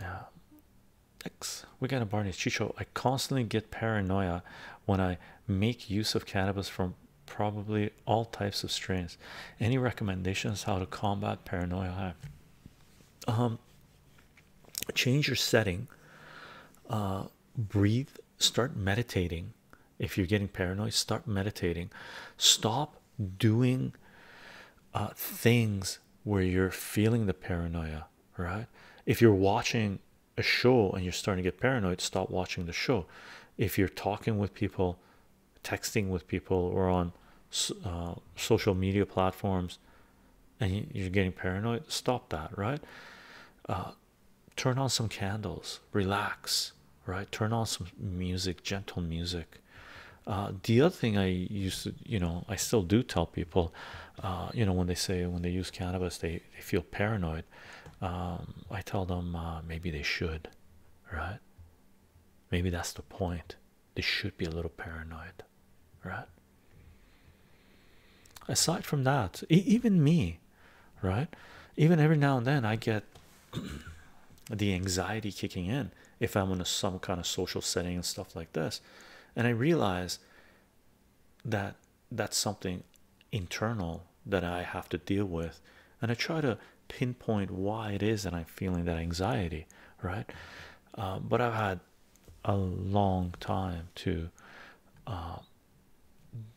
Yeah. X, we got a Barney Chicho. I constantly get paranoia when I make use of cannabis from probably all types of strains. Any recommendations how to combat paranoia? Um, change your setting uh, breathe start meditating if you're getting paranoid start meditating stop doing uh, things where you're feeling the paranoia right if you're watching a show and you're starting to get paranoid stop watching the show if you're talking with people texting with people or on uh, social media platforms and you're getting paranoid, stop that, right? Uh, turn on some candles, relax, right? Turn on some music, gentle music. Uh, the other thing I used to, you know, I still do tell people, uh, you know, when they say when they use cannabis, they, they feel paranoid. Um, I tell them maybe they should, right? Maybe that's the point. They should be a little paranoid, right? aside from that even me right even every now and then i get the anxiety kicking in if i'm in some kind of social setting and stuff like this and i realize that that's something internal that i have to deal with and i try to pinpoint why it is that i'm feeling that anxiety right uh, but i've had a long time to uh,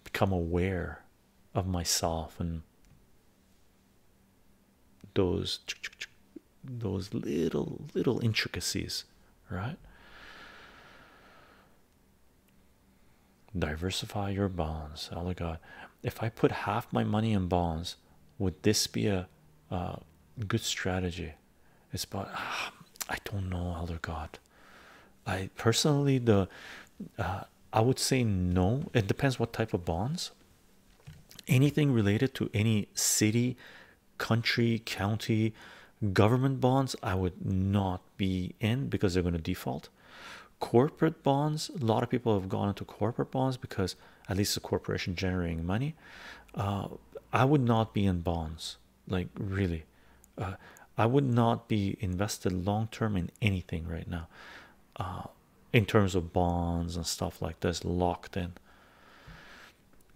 become aware of myself and those those little little intricacies right diversify your bonds oh god if i put half my money in bonds would this be a uh, good strategy it's about ah, I don't know, other God. I personally the uh, I would say no. It depends what type of bonds. Anything related to any city, country, county, government bonds, I would not be in because they're going to default. Corporate bonds, a lot of people have gone into corporate bonds because at least the corporation generating money. Uh, I would not be in bonds like really uh, i would not be invested long term in anything right now uh, in terms of bonds and stuff like this locked in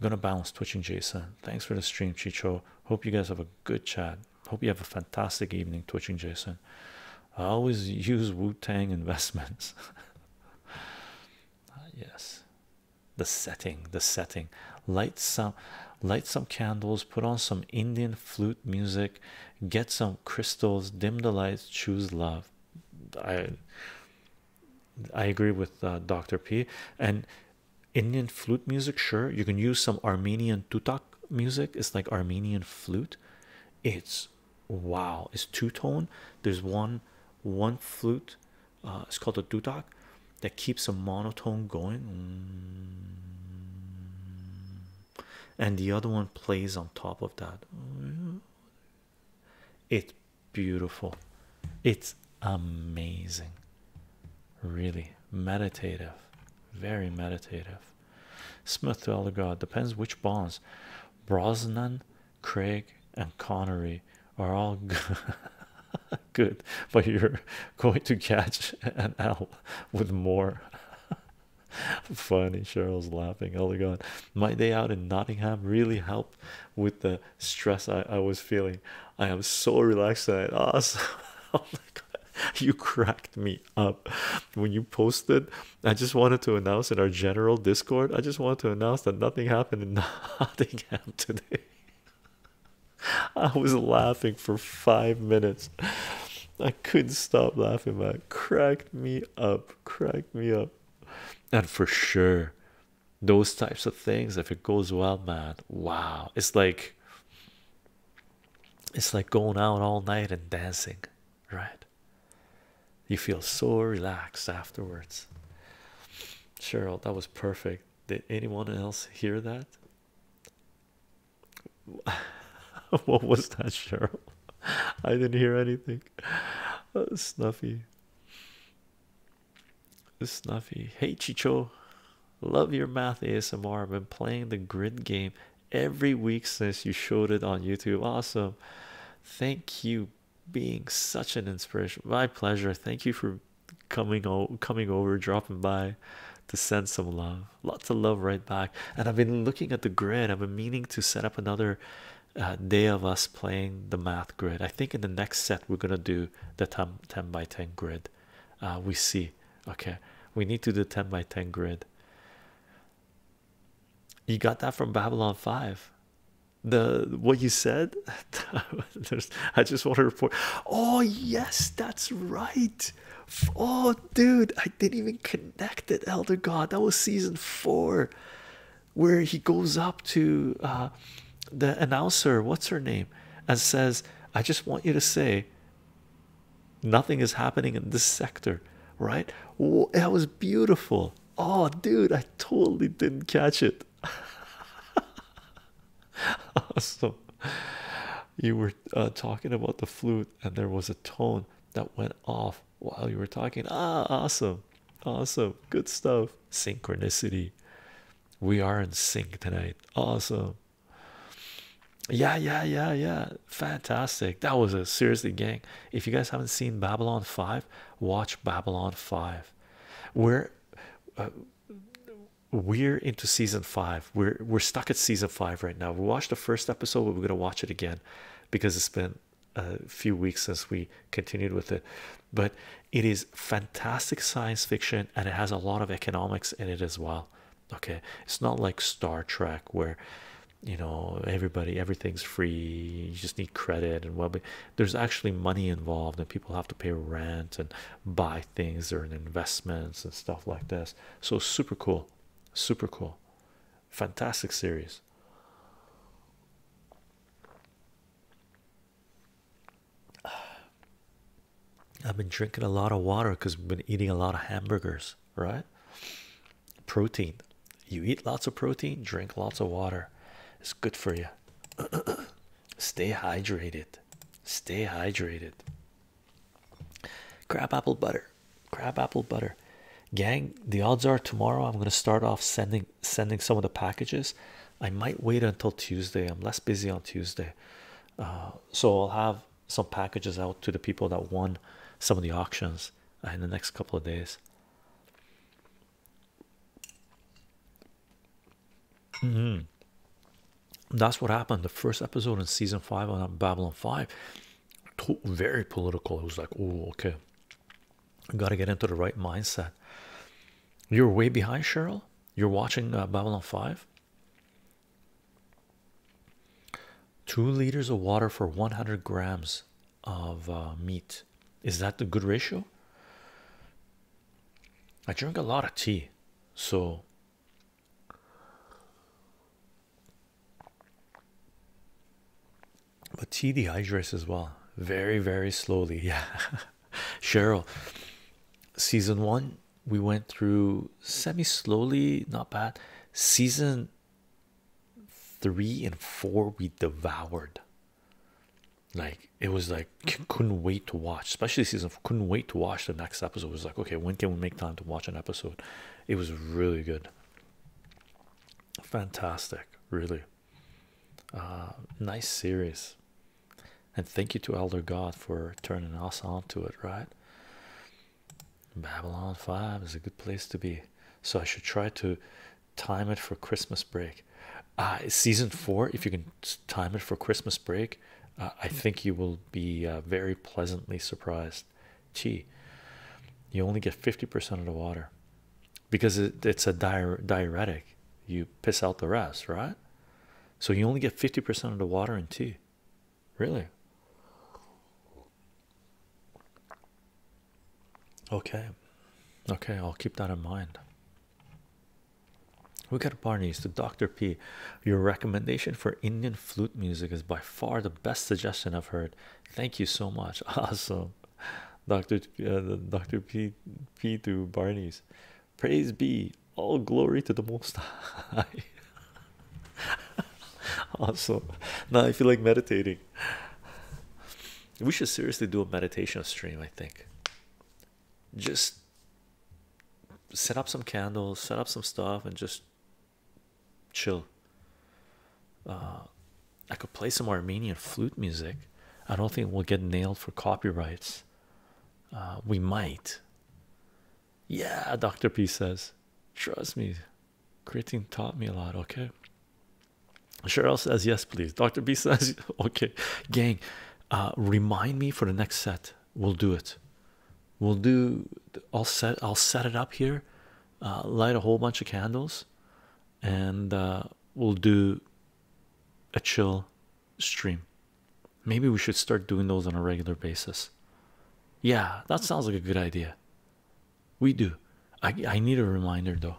gonna bounce, twitching jason thanks for the stream chicho hope you guys have a good chat hope you have a fantastic evening twitching jason i always use wu-tang investments ah, yes the setting the setting light some light some candles put on some indian flute music get some crystals dim the lights choose love i i agree with uh, dr p and indian flute music sure you can use some armenian tutak music it's like armenian flute it's wow it's two-tone there's one one flute uh, it's called a dudok that keeps a monotone going and the other one plays on top of that it's beautiful it's amazing really meditative very meditative smith god depends which bonds brosnan craig and connery are all good, but you're going to catch an L with more. Funny, Cheryl's laughing. Oh my god, my day out in Nottingham really helped with the stress I, I was feeling. I am so relaxed tonight. Awesome. Oh, oh my god, you cracked me up when you posted. I just wanted to announce in our general Discord. I just wanted to announce that nothing happened in Nottingham today. I was laughing for five minutes. I couldn't stop laughing, man. Cracked me up, cracked me up. And for sure, those types of things, if it goes well, man, wow. It's like it's like going out all night and dancing, right? You feel so relaxed afterwards. Cheryl, that was perfect. Did anyone else hear that? what was that, Cheryl? I didn't hear anything. Uh, snuffy, snuffy. Hey, Chicho, love your math ASMR. I've been playing the grid game every week since you showed it on YouTube. Awesome. Thank you being such an inspiration. My pleasure. Thank you for coming o coming over, dropping by to send some love. Lots of love right back. And I've been looking at the grid. I've been meaning to set up another uh, day of us playing the math grid. I think in the next set we're gonna do the 10, 10 by 10 grid. Uh, we see. Okay, we need to do 10 by 10 grid. You got that from Babylon 5. The what you said I just want to report. Oh yes, that's right. Oh dude, I didn't even connect it. Elder God, that was season four, where he goes up to uh, the announcer, what's her name, and says, "I just want you to say." Nothing is happening in this sector, right? that was beautiful. Oh, dude, I totally didn't catch it. Awesome. you were uh, talking about the flute and there was a tone that went off while you were talking ah awesome awesome good stuff synchronicity we are in sync tonight awesome yeah yeah yeah yeah fantastic that was a seriously gang if you guys haven't seen babylon 5 watch babylon 5 where uh, we're into season five. We're we're stuck at season five right now. We watched the first episode, we're gonna watch it again because it's been a few weeks since we continued with it. But it is fantastic science fiction and it has a lot of economics in it as well. Okay, it's not like Star Trek where you know everybody everything's free you just need credit and what. But there's actually money involved and people have to pay rent and buy things, or investments and stuff like this. So super cool, super cool, fantastic series. I've been drinking a lot of water because we've been eating a lot of hamburgers, right? Protein. You eat lots of protein, drink lots of water. It's good for you. Stay hydrated. Stay hydrated. Crabapple butter. crabapple butter. Gang, the odds are tomorrow I'm gonna start off sending sending some of the packages. I might wait until Tuesday. I'm less busy on Tuesday. Uh, so I'll have some packages out to the people that won some of the auctions in the next couple of days. Mm-hmm. That's what happened. The first episode in season five on Babylon 5, very political. It was like, oh, okay, I got to get into the right mindset. You're way behind, Cheryl. You're watching uh, Babylon 5. Two liters of water for 100 grams of uh, meat. Is that the good ratio? I drink a lot of tea, so but tea dehydrates as well, very, very slowly. Yeah, Cheryl, season one, we went through semi slowly, not bad. Season three and four, we devoured like it was like mm-hmm. couldn't wait to watch, especially season four, couldn't wait to watch the next episode. was like, okay, when can we make time to watch an episode? It was really good, fantastic, really uh, nice series. And thank you to Elder God for turning us on to it, right? Babylon 5 is a good place to be. So I should try to time it for Christmas break. Uh, season 4, if you can time it for Christmas break, uh, I think you will be uh, very pleasantly surprised. Gee, you only get 50% of the water because it's a diuretic, you piss out the rest, right? So you only get 50% of the water in tea, really. Okay, okay, I'll keep that in mind. We got Barney's to Dr. P. Your recommendation for Indian flute music is by far the best suggestion I've heard. Thank you so much. Awesome, Dr. Uh, Dr. P. P. to Barney's. Praise be. All glory to the Most High. awesome. Now I feel like meditating. We should seriously do a meditation stream. I think. Just set up some candles, set up some stuff, and just chill. Uh, I could play some Armenian flute music. I don't think we'll get nailed for copyrights. Uh, we might. Yeah, Dr. P says, trust me, creatine taught me a lot, okay? Cheryl says, yes, please. Dr. P says, okay, gang, uh, remind me for the next set we'll do it we'll do i'll set i'll set it up here uh, light a whole bunch of candles and uh, we'll do a chill stream maybe we should start doing those on a regular basis yeah that sounds like a good idea we do i i need a reminder though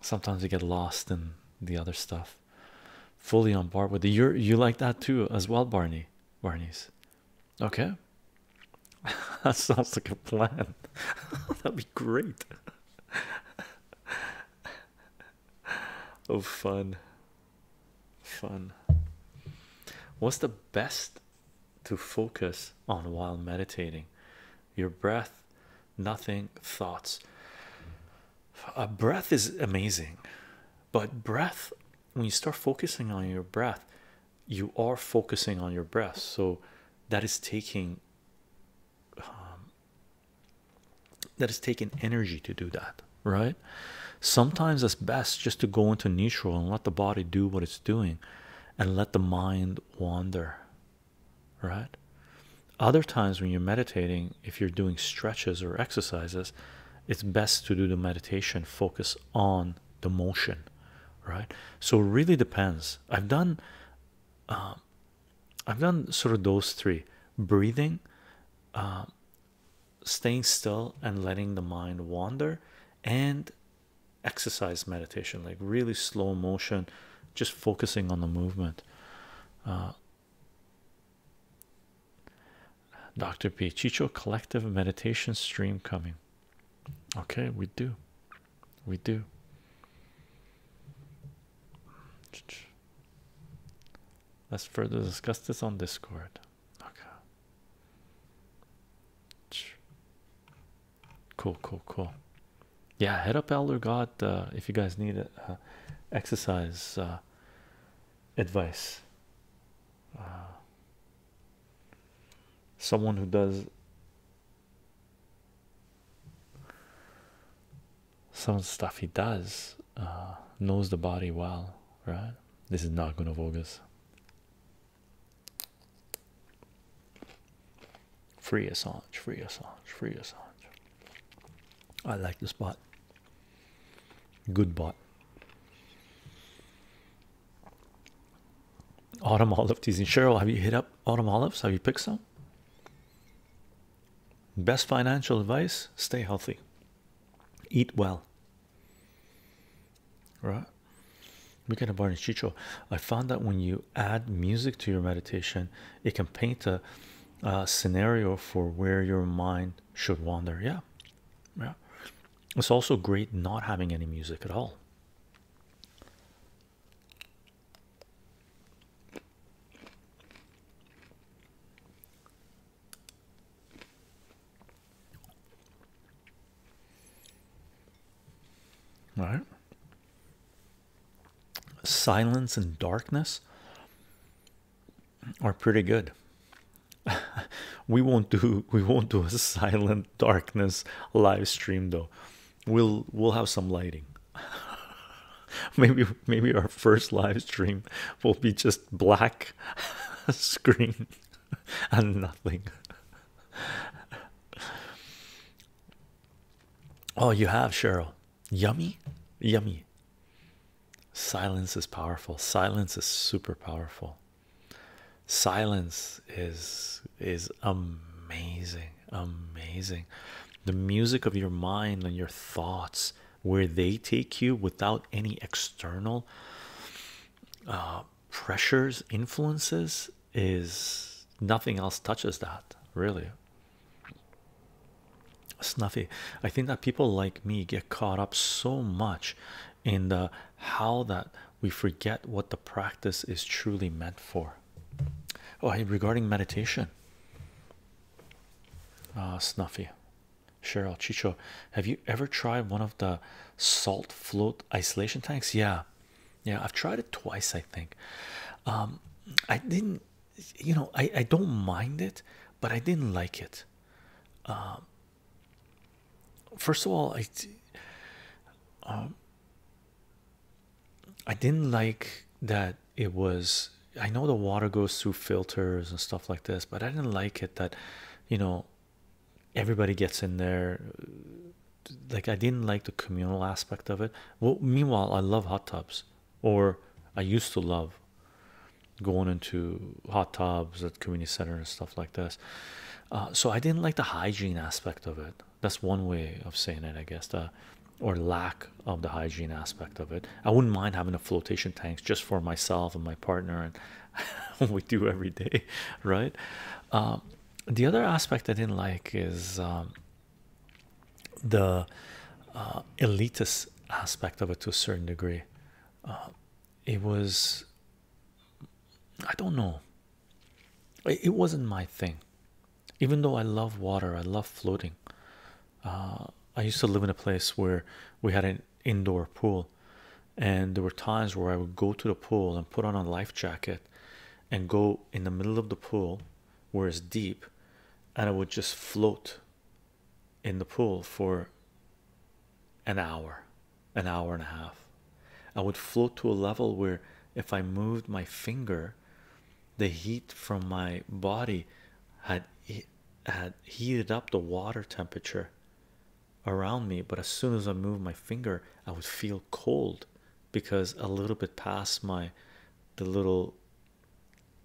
sometimes i get lost in the other stuff fully on board with you you like that too as well barney barney's okay that sounds like a plan that'd be great oh fun fun what's the best to focus on while meditating your breath nothing thoughts a breath is amazing but breath, when you start focusing on your breath, you are focusing on your breath, so that is taking um, that is taking energy to do that, right? Sometimes it's best just to go into neutral and let the body do what it's doing and let the mind wander, right? Other times, when you're meditating, if you're doing stretches or exercises, it's best to do the meditation focus on the motion right so really depends i've done um, i've done sort of those three breathing um, staying still and letting the mind wander and exercise meditation like really slow motion just focusing on the movement uh, Dr. P. Chicho collective meditation stream coming. Okay, we do. We do. Let's further discuss this on Discord. Okay. Cool, cool, cool. Yeah, head up, Elder God. Uh, if you guys need uh, exercise, uh, advice. Uh, someone who does some stuff he does uh, knows the body well, right? This is not going to bogus. Free Assange, free Assange, free Assange. I like the spot. Good bot. Autumn olive and Cheryl, have you hit up autumn olives? Have you picked some? Best financial advice stay healthy, eat well. Right? We Weekend of Barney Chicho. I found that when you add music to your meditation, it can paint a scenario for where your mind should wander yeah yeah it's also great not having any music at all right silence and darkness are pretty good. we won't do we won't do a silent darkness live stream though. We'll we'll have some lighting. maybe maybe our first live stream will be just black screen and nothing. Oh, you have Cheryl. Yummy, yummy. Silence is powerful. Silence is super powerful. Silence is is amazing, amazing. The music of your mind and your thoughts, where they take you without any external uh, pressures, influences, is nothing else touches that really. Snuffy, I think that people like me get caught up so much in the how that we forget what the practice is truly meant for. Oh, regarding meditation, Ah, Snuffy, Cheryl, Chicho, have you ever tried one of the salt float isolation tanks? Yeah, yeah, I've tried it twice, I think. Um, I didn't, you know, I, I don't mind it, but I didn't like it. Um, first of all, I um, I didn't like that it was. I know the water goes through filters and stuff like this, but I didn't like it that you know everybody gets in there. Like I didn't like the communal aspect of it. Well, meanwhile, I love hot tubs, or I used to love going into hot tubs at community center and stuff like this. Uh, so I didn't like the hygiene aspect of it. That's one way of saying it, I guess, or lack of the hygiene aspect of it. I wouldn't mind having a flotation tanks just for myself and my partner and we do every day, right? Um, the other aspect I didn't like is um, the uh, elitist aspect of it to a certain degree. Uh, it was i don't know it, wasn't my thing even though i love water i love floating uh, i used to live in a place where we had an indoor pool and there were times where i would go to the pool and put on a life jacket and go in the middle of the pool where it's deep and i would just float in the pool for an hour, an hour and a half. I would float to a level where if I moved my finger, the heat from my body had had heated up the water temperature around me. But as soon as I moved my finger, I would feel cold because a little bit past my the little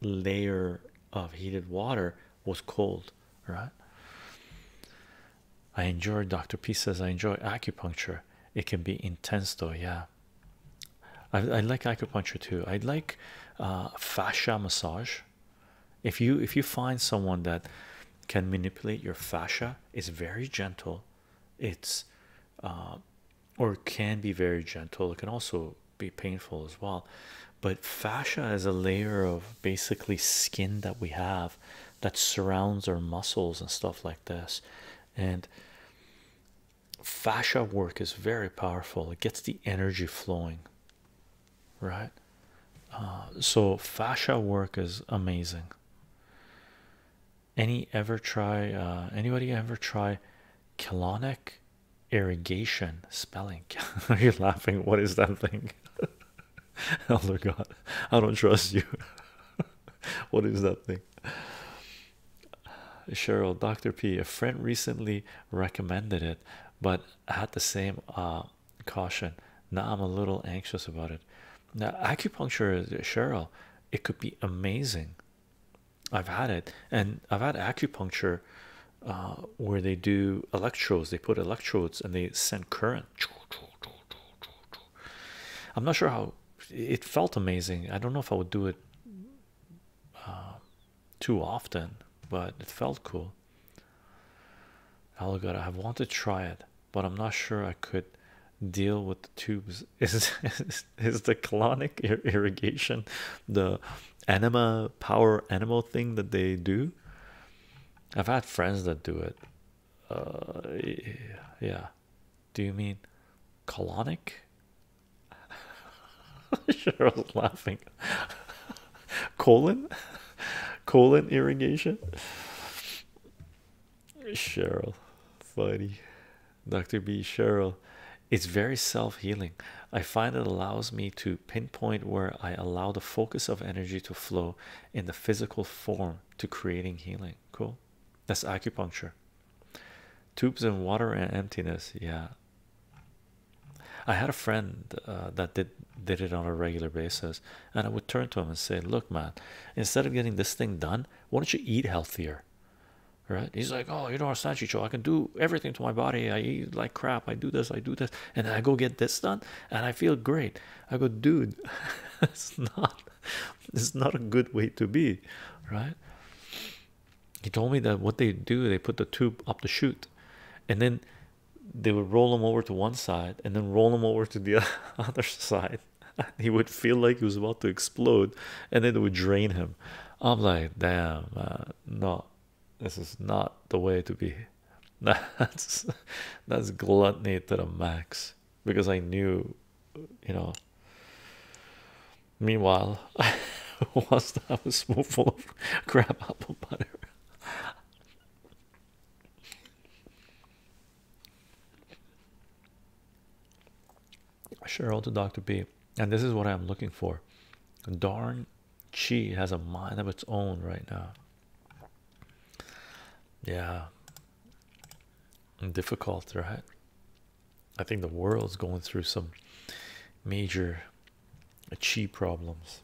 layer of heated water was cold, right? I enjoy Dr. P says I enjoy acupuncture. It can be intense though, yeah. I, like acupuncture too. I like uh, fascia massage. If you if you find someone that can manipulate your fascia, it's very gentle. It's uh, or can be very gentle. It can also be painful as well. But fascia is a layer of basically skin that we have that surrounds our muscles and stuff like this. And fascia work is very powerful, it gets the energy flowing, right? Uh, so, fascia work is amazing. Any ever try, uh, anybody ever try colonic irrigation spelling. Are you laughing? What is that thing? Oh my God, I don't trust you. what is that thing? Cheryl, Dr. P, a friend recently recommended it, but had the same uh, caution. Now I'm a little anxious about it. Now, acupuncture, Cheryl, it could be amazing. I've had it, and I've had acupuncture uh, where they do electrodes, they put electrodes and they send current. I'm not sure how it felt amazing. I don't know if I would do it uh, too often, but it felt cool. Alligator, I have wanted to try it, but I'm not sure I could deal with the tubes. Is is, the clonic irrigation the anima power animal thing that they do? I've had friends that do it. Uh, yeah. Do you mean colonic? sure, laughing. colon, colon irrigation. Cheryl, funny, Doctor B. Cheryl, it's very self-healing. I find it allows me to pinpoint where I allow the focus of energy to flow in the physical form to creating healing. Cool, that's acupuncture. Tubes and water and emptiness. Yeah, I had a friend uh, that did did it on a regular basis, and I would turn to him and say, "Look, man, instead of getting this thing done, why don't you eat healthier?" Right? He's like, "Oh, you don't understand, Chicho. I can do everything to my body. I eat like crap. I do this. I do that, and I go get this done." and I feel great. I go, dude, it's not it's not a good way to be, right? He told me that what they do, they put the tube up the chute and then they would roll him over to one side and then roll him over to the other side. He would feel like he was about to explode and then it would drain him. I'm like, damn, man, no, this is not the way to be. That's that's gluttony to the max because I knew, you know. Meanwhile, I wants to have a spoonful of crab apple butter. Cheryl to Dr. B, and this is what I'm looking for. Darn Chi has a mind of its own right now. Yeah, difficult, right? I think the world's going through some major chi problems.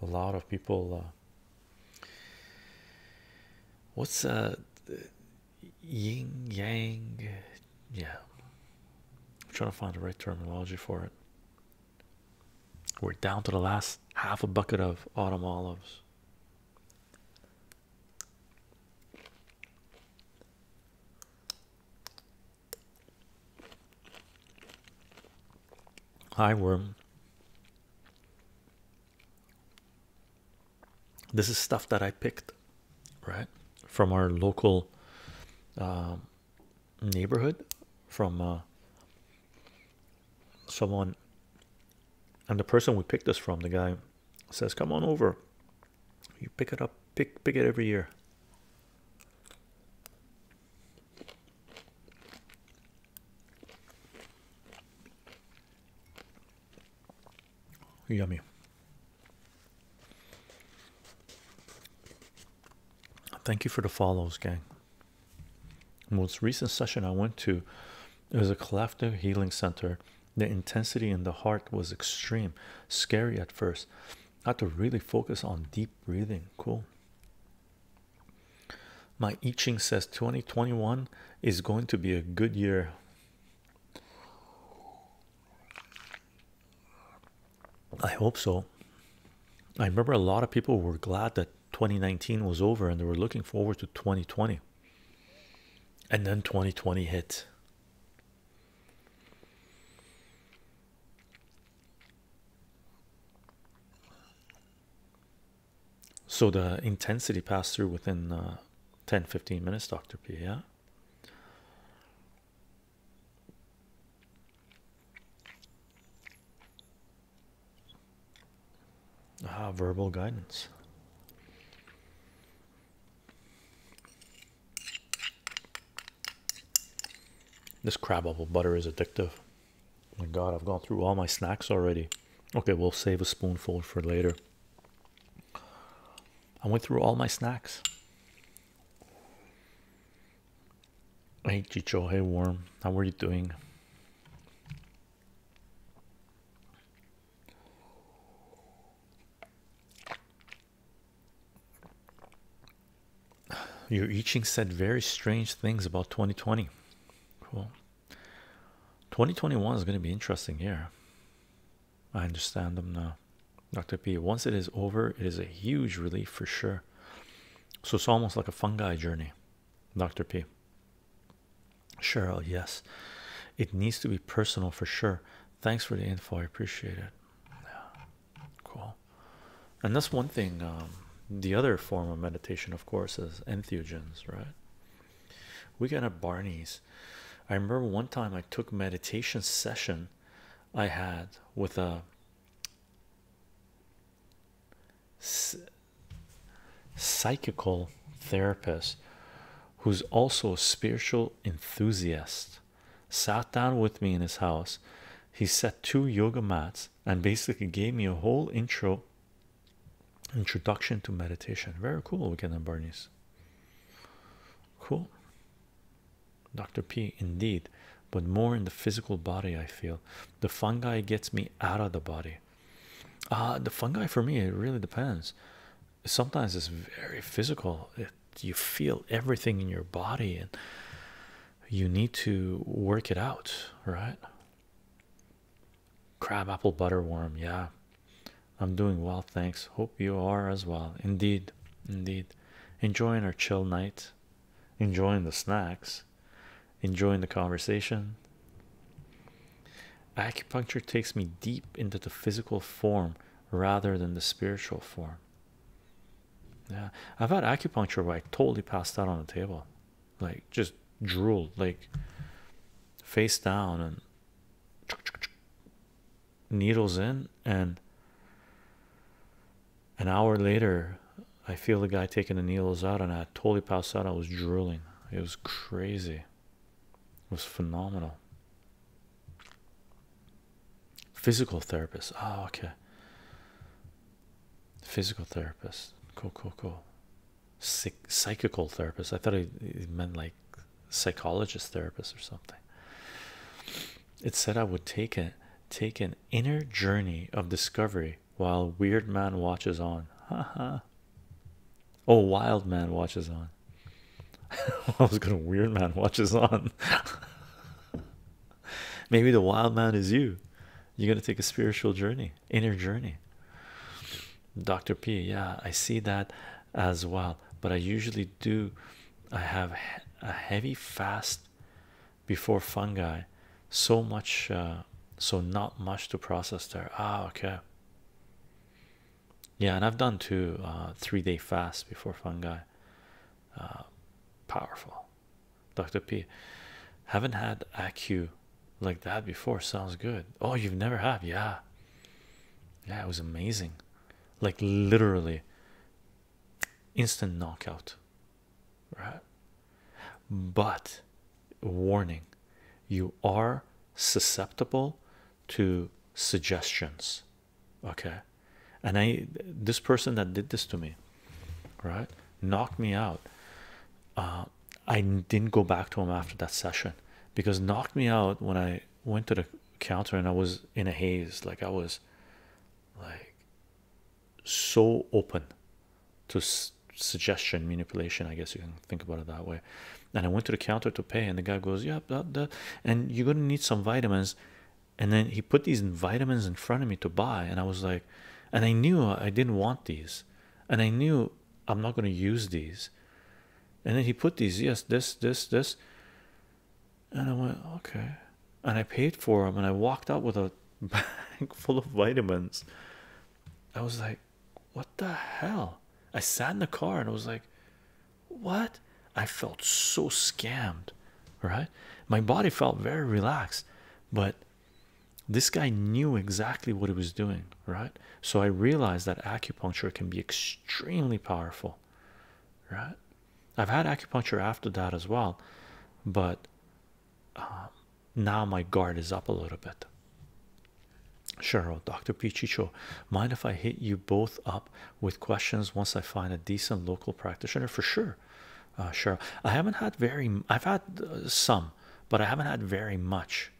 A lot of people. Uh, what's that, uh, yin yang? Yeah, I'm trying to find the right terminology for it. We're down to the last half a bucket of autumn olives. Hi, worm. This is stuff that I picked, right, from our local um, neighborhood from uh, someone and the person we picked this from the guy says come on over you pick it up pick pick it every year yummy Thank you for the follows, gang. Most recent session I went to it was a collective healing center. The intensity in the heart was extreme, scary at first. I had to really focus on deep breathing. Cool. My itching says 2021 is going to be a good year. I hope so. I remember a lot of people were glad that 2019 was over and they were looking forward to 2020. And then 2020 hit. So the intensity passed through within uh, 10 15 minutes, Dr. P. Yeah. Ah, verbal guidance. This crab apple butter is addictive. My god, I've gone through all my snacks already. Okay, we'll save a spoonful for later. I went through all my snacks. Hey Chicho, hey Worm, how are you doing? Your eaching said very strange things about 2020. Cool. 2021 is going to be interesting here. I understand them now. Dr. P, once it is over, it is a huge relief for sure. So it's almost like a fungi journey, Dr. P. Cheryl, yes, it needs to be personal for sure. Thanks for the info, I appreciate it. Yeah, cool. And that's one thing. Um, the other form of meditation, of course, is entheogens, right? We got at Barney's. I remember one time I took meditation session I had with a psychical therapist who's also a spiritual enthusiast sat down with me in his house he set two yoga mats and basically gave me a whole intro introduction to meditation very cool weekend and bernie's cool Dr. P. Indeed, but more in the physical body. I feel the fungi gets me out of the body. Ah, the fungi for me, it really depends. Sometimes it's very physical, you feel everything in your body, and you need to work it out, right? Crab apple butterworm, yeah. I'm doing well, thanks. Hope you are as well. Indeed, indeed. Enjoying our chill night enjoying the snacks, enjoying the conversation. Acupuncture takes me deep into the physical form rather than the spiritual form. Yeah, I've had acupuncture where I totally passed out on the table, like just drooled, like face down, and needles in, and an hour later, I feel the guy taking the needles out, and I totally passed out. I was drooling. It was crazy. It was phenomenal. Physical therapist. Oh, okay. Physical therapist. Cool, cool, cool. psychical therapist. I thought it, meant like psychologist therapist or something. It said I would take it, take it inner journey of discovery while Weird Man watches on. ha ha. oh, Wild Man watches on. I was gonna Weird Man watches on. Maybe the Wild Man is you. You're gonna take a spiritual journey, inner journey. Dr. P, yeah, I see that as well, but I usually do. I have a heavy fast before fungi so much uh, so not much to process there ah okay yeah and i've done two uh, three day fasts before fungi uh, powerful dr p haven't had acu like that before sounds good oh you've never had yeah yeah it was amazing like literally instant knockout right? But warning you are susceptible to suggestions, okay? And I, this person that did this to me, right, knocked me out. Uh, I didn't go back to him after that session because knocked me out when I went to the counter and I was in a haze, like I was like so open to suggestion manipulation i guess you can think about it that way and i went to the counter to pay and the guy goes yeah and you're gonna need some vitamins and then he put these vitamins in front of me to buy and i was like and i knew i didn't want these and i knew i'm not going to use these and then he put these yes this this this and i went okay and I paid for them and I walked out with a bag full of vitamins. I was like, what the hell? I sat in the car and I was like, what? I felt so scammed, right? My body felt very relaxed, but this guy knew exactly what he was doing, right? So I realized that acupuncture can be extremely powerful, right? I've had acupuncture after that as well, but um, now my guard is up a little bit. Cheryl, oh, Dr. Pichicho, mind if I hit you both up with questions once I find a decent local practitioner? For sure. Uh, Cheryl, I haven't had very, I've had uh, some, but I haven't had very much.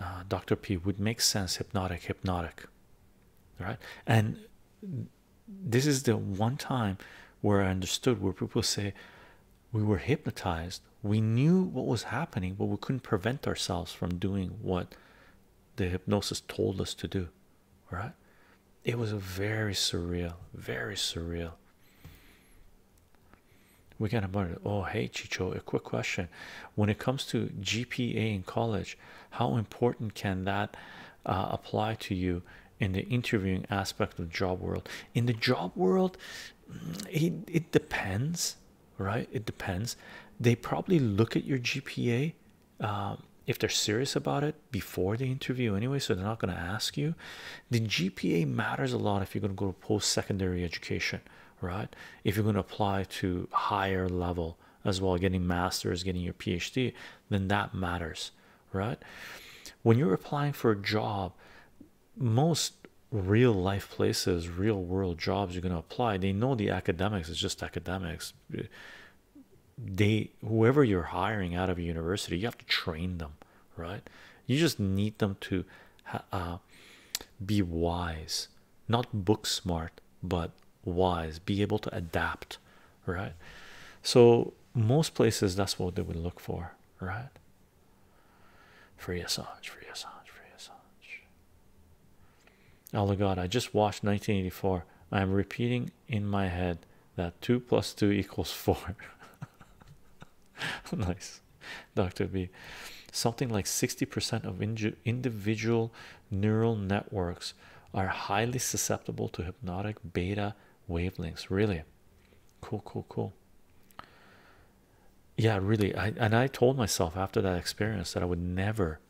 Uh, Dr. P would make sense hypnotic, hypnotic, right? And this is the one time where I understood where people say we were hypnotized, we knew what was happening, but we couldn't prevent ourselves from doing what the hypnosis told us to do. Right? It was very surreal, very surreal. We got about it. Oh, hey, Chicho, a quick question. When it comes to GPA in college, how important can that uh, apply to you in the interviewing aspect of job world in the job world mm, it, it depends right it depends they probably look at your gpa um, if they're serious about it before the interview anyway so they're not going to ask you the gpa matters a lot if you're going to go to post-secondary education right if you're going to apply to higher level as well getting masters getting your phd then that matters right? When you're applying for a job, most real life places, real world jobs you're going to apply, they know the academics it's just academics. They, whoever you're hiring out of a university, you have to train them, right? You just need them to uh, be wise, not book smart, but wise, be able to adapt, right? So most places that's what they would look for, right? Free Assange, free Assange, free Assange. Oh my God! I just watched 1984. I am repeating in my head that two plus two equals four. nice, Doctor B. Something like 60% of individual neural networks are highly susceptible to hypnotic beta wavelengths. Really, cool cool cool yeah really i and i told myself after that experience that i would never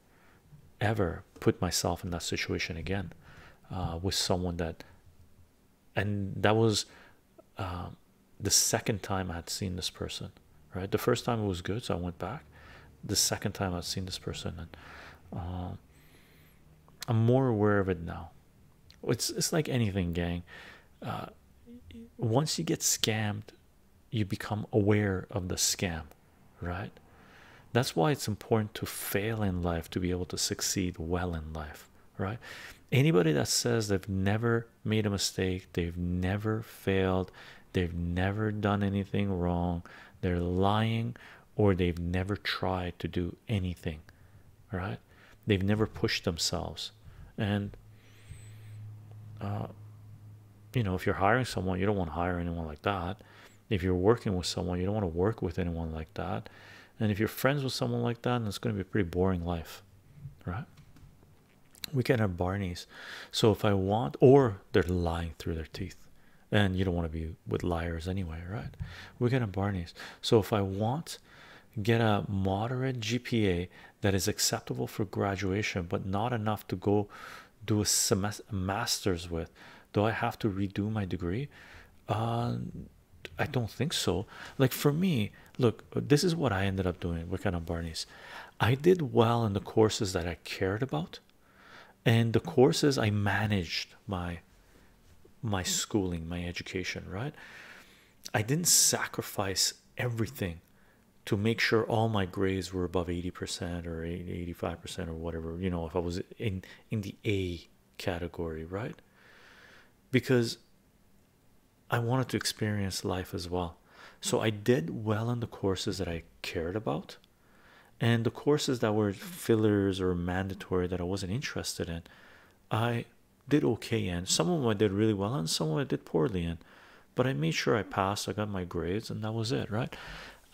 ever put myself in that situation again uh, with someone that and that was um, the second time i had seen this person right the first time it was good so i went back the second time i've seen this person and uh, i'm more aware of it now it's it's like anything, gang. Uh, once you get scammed, you become aware of the scam, right? That's why it's important to fail in life to be able to succeed well in life, right? Anybody that says they've never made a mistake, they've never failed, they've never done anything wrong, they're lying, or they've never tried to do anything, right? They've never pushed themselves, and uh, you know, if you're hiring someone, you don't want to hire anyone like that. If you're working with someone, you don't want to work with anyone like that. And if you're friends with someone like that, then it's going to be a pretty boring life, right? We can have Barneys. So if I want, or they're lying through their teeth, and you don't want to be with liars anyway, right? We can have Barneys. So if I want get a moderate GPA that is acceptable for graduation, but not enough to go do a masters with, do I have to redo my degree? Uh, I don't think so. Like for me, look, this is what I ended up doing. We're kind of Barney's, I did well in the courses that I cared about, and the courses I managed my my schooling my education right i didn't sacrifice everything to make sure all my grades were above 80% or 85% or whatever you know if i was in in the a category right because i wanted to experience life as well so i did well in the courses that i cared about and the courses that were fillers or mandatory that i wasn't interested in I did okay in. Some of them I did really well, and some of them I did poorly in. But I made sure I passed. I got my grades, and that was it, right?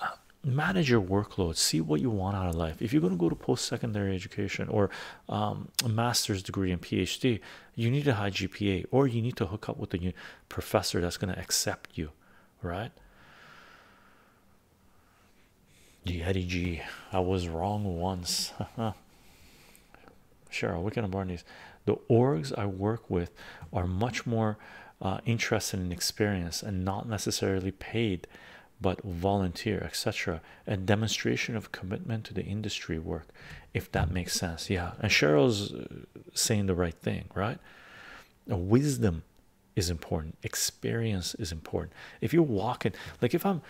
Uh, manage your workload. See what you want out of life. If you're going to go to post-secondary education or um, a master's degree and PhD, you need a high GPA, or you need to hook up with a professor that's going to accept you, right? Yeti "I was wrong once. Cheryl, what kind of these. The orgs I work with are much more uh, interested in experience and not necessarily paid, but volunteer, etc. A demonstration of commitment to the industry work, if that makes sense. Yeah, and Cheryl's uh, saying the right thing, right? wisdom is important, experience is important. If you are walking, like if I'm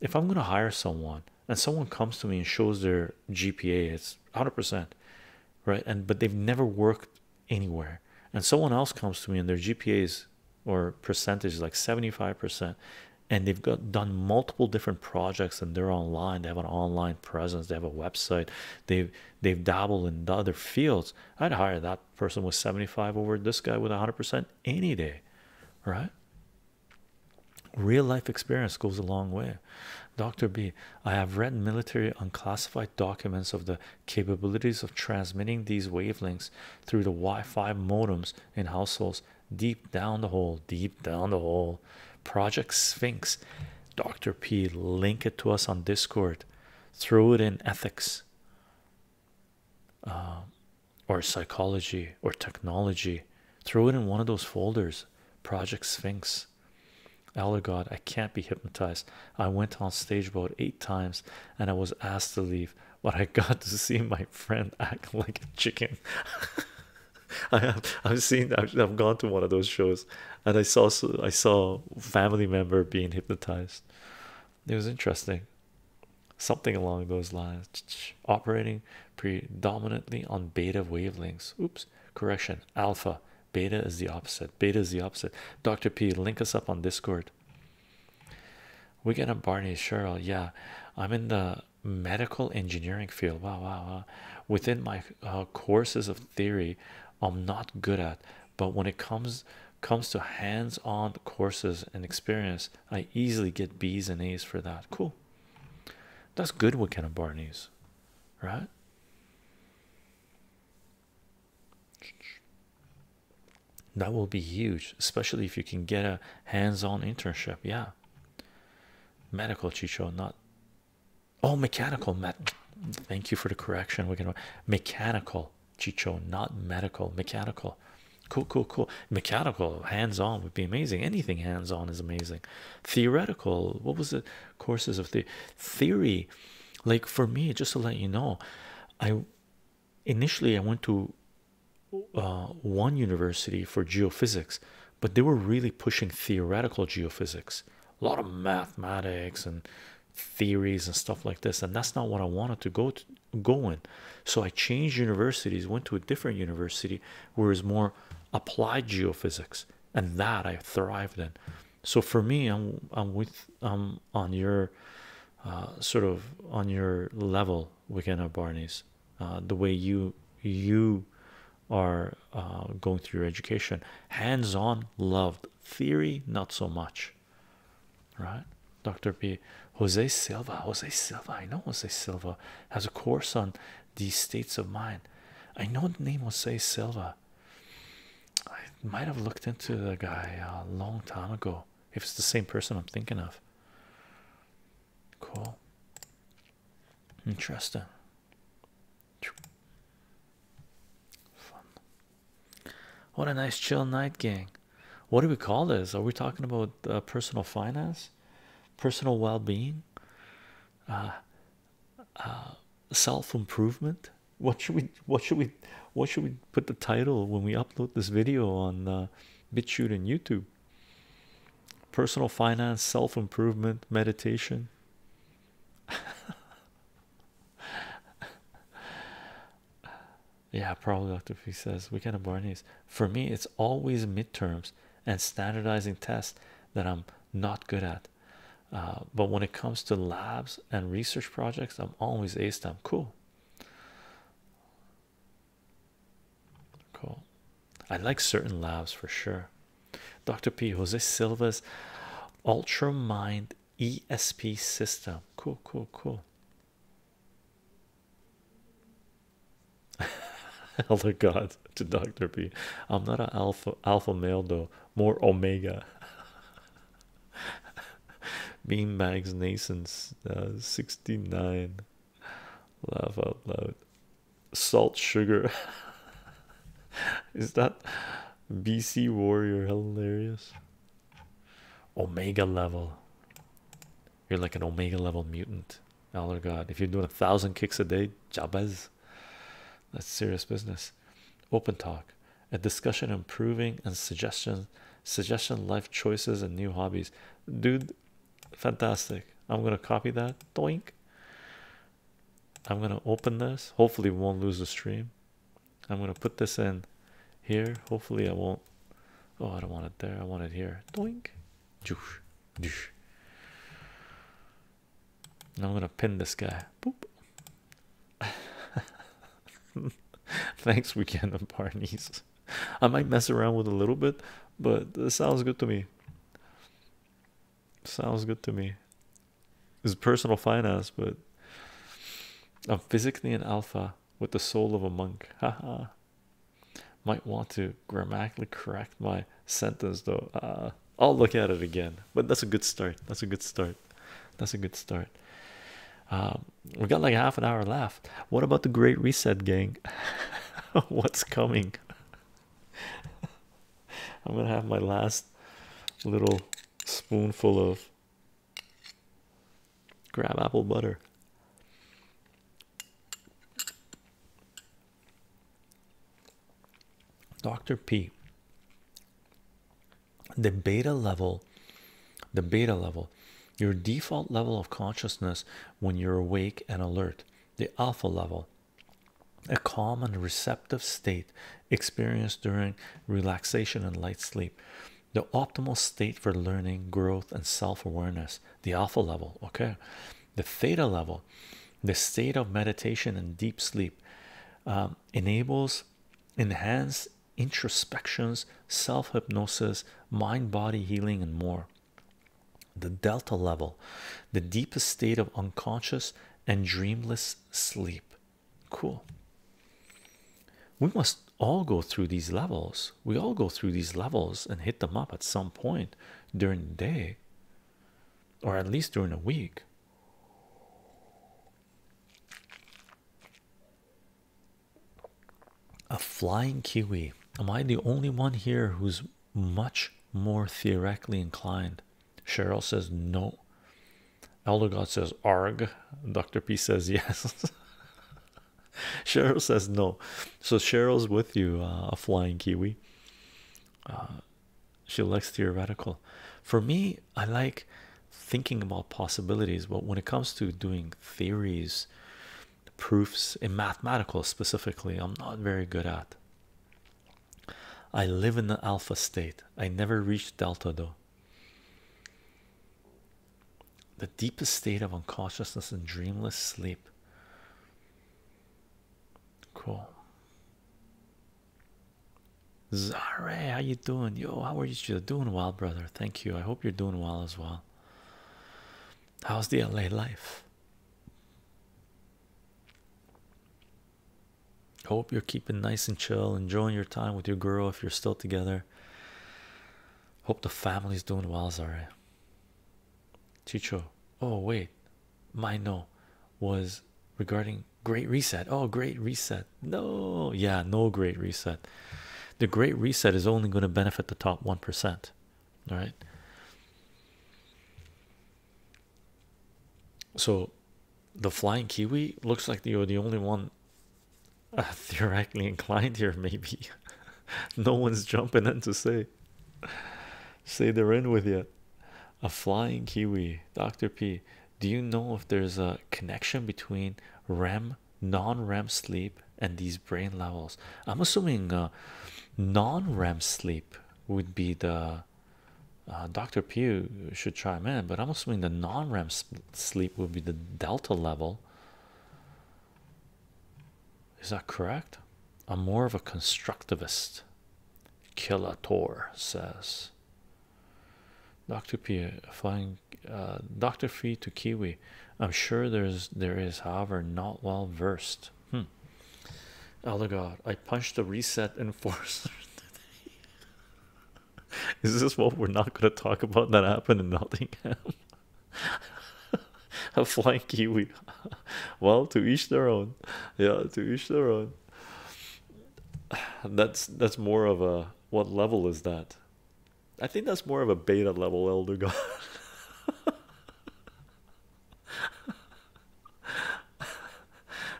if I'm gonna hire someone and someone comes to me and shows their GPA, it's 100%, right? And but they've never worked anywhere, and someone else comes to me and their GPAs or percentage is like 75%, and they've got done multiple different projects and they're online, they have an online presence, they have a website, they've they've dabbled in the other fields. I'd hire that person with 75 over this guy with 100% any day, right? Real life experience goes a long way. Dr. B, I have read military unclassified documents of the capabilities of transmitting these wavelengths through the Wi Fi modems in households deep down the hole, deep down the hole. Project Sphinx, Dr. P, link it to us on Discord, throw it in ethics. Uh, or psychology or technology throw it in one of those folders project sphinx allah oh, god i can't be hypnotized i went on stage about eight times and i was asked to leave but i got to see my friend act like a chicken i have i've seen I've, I've gone to one of those shows and i saw i saw family member being hypnotized it was interesting something along those lines operating predominantly on beta wavelengths oops correction alpha beta is the opposite beta is the opposite dr p link us up on discord we get a barney cheryl yeah i'm in the medical engineering field wow wow, wow. within my uh, courses of theory i'm not good at but when it comes comes to hands-on courses and experience I easily get B's and A's for that. Cool. That's good with Ken and Barney's, right? That will be huge, especially if you can get a hands-on internship. Yeah. Medical Chicho, not oh mechanical met thank you for the correction. We can mechanical Chicho, not medical, mechanical cool cool cool mechanical hands-on would be amazing anything hands-on is amazing theoretical what was the courses of the theory like for me just to let you know i initially i went to uh, one university for geophysics but they were really pushing theoretical geophysics a lot of mathematics and theories and stuff like this and that's not what i wanted to go to going so i changed universities went to a different university where it's more applied geophysics and that i thrived in so for me i'm i'm with i'm on your uh, sort of on your level weekend at barney's uh, the way you you are uh, going through your education hands-on loved theory not so much right? Dr. B, Jose Silva, Jose Silva, I know Jose Silva has a course on these states of mind. I know the name Jose Silva. I might have looked into the guy a long time ago if it's the same person I'm thinking of. Cool, interesting. Fun. What a nice chill night, gang. What do we call this? Are we talking about uh, personal finance, personal well-being, uh, uh, self-improvement? What should we? What should we? What should we put the title when we upload this video on uh, and YouTube? Personal finance, self-improvement, meditation. Yeah, probably Dr. P says we can abort these. For me, it's always midterms and standardizing tests that I'm not good at. Uh, but when it comes to labs and research projects, I'm always ace them. cool. Cool. I like certain labs for sure. Dr. P. Jose Silva's Ultra Mind ESP system. Cool, cool, cool. Elder God to Dr. B. I'm not an alpha alpha male though, more omega. Bean Mags Nason's uh, 69. Laugh out loud. Salt sugar. Is that BC Warrior hilarious? Omega level. You're like an omega level mutant. Oh god, if you're doing a thousand kicks a day, Jabez, that's serious business. Open talk, a discussion, improving and suggestion, suggestion, life choices, and new hobbies. Dude, fantastic. I'm gonna copy that. Doink. I'm gonna open this. Hopefully, we won't lose the stream. I'm gonna put this in here. Hopefully, I won't. Oh, I don't want it there. I want it here. Doink. And I'm gonna pin this guy. Boop. Thanks, weekend of Barney's. I might mess around with a little bit, but this sounds good to me. Sounds good to me. It's personal finance, but I'm physically an alpha with the soul of a monk. Haha. Might want to grammatically correct my sentence though. Uh, I'll look at it again, but that's a good start. That's a good start. That's a good start. Um, We've got like half an hour left. What about the great reset, gang? What's coming? I'm gonna have my last little spoonful of Grab apple butter. Dr. P. The beta level, the beta level, your default level of consciousness when you're awake and alert, the alpha level, a calm and receptive state experienced during relaxation and light sleep, the optimal state for learning, growth, and self awareness the alpha level, okay, the theta level, the state of meditation and deep sleep um, enables enhanced introspections, self hypnosis, mind body healing, and more. The delta level, the deepest state of unconscious and dreamless sleep. Cool. We must all go through these levels we all go through these levels and hit them up at some point during the day or at least during a week. A flying kiwi. Am I the only one here who's much more theoretically inclined? Cheryl says no. Elder God says arg. Dr. P says yes. Cheryl says no. So Cheryl's with you, uh, a flying kiwi. Uh, she likes theoretical. For me, I like thinking about possibilities, but when it comes to doing theories, proofs in mathematical specifically, I'm not very good at. I live in the alpha state. I never reach delta though the deepest state of unconsciousness and dreamless sleep. Cool. Zare, how you doing? Yo, how are you doing well, brother? Thank you. I hope you're doing well as well. How's the LA life? Hope you're keeping nice and chill, enjoying your time with your girl if you're still together. Hope the family's doing well, Zare. Chicho, oh wait, my no was regarding Great Reset. Oh, Great Reset. No, yeah, no Great Reset. The Great Reset is only going to benefit the top 1%. All right. So the flying kiwi looks like you're the only one uh, theoretically inclined here, maybe. no one's jumping in to say say they're in with you a flying kiwi dr p do you know if there's a connection between rem non-rem sleep and these brain levels i'm assuming uh, non-rem sleep would be the uh, dr p should try chime in but i'm assuming the non-rem sleep would be the delta level is that correct? I'm more of a constructivist. Killator says. Dr. P flying uh, Dr. Fee to Kiwi. I'm sure there's there is, however, not well versed. Oh Elder God, I punched the reset enforcer today. is this what we're not gonna talk about that happened in nothing. a flying kiwi. well, to each their own. Yeah, to each their own. That's that's more of a what level is that? I think that's more of a beta level, Elder God.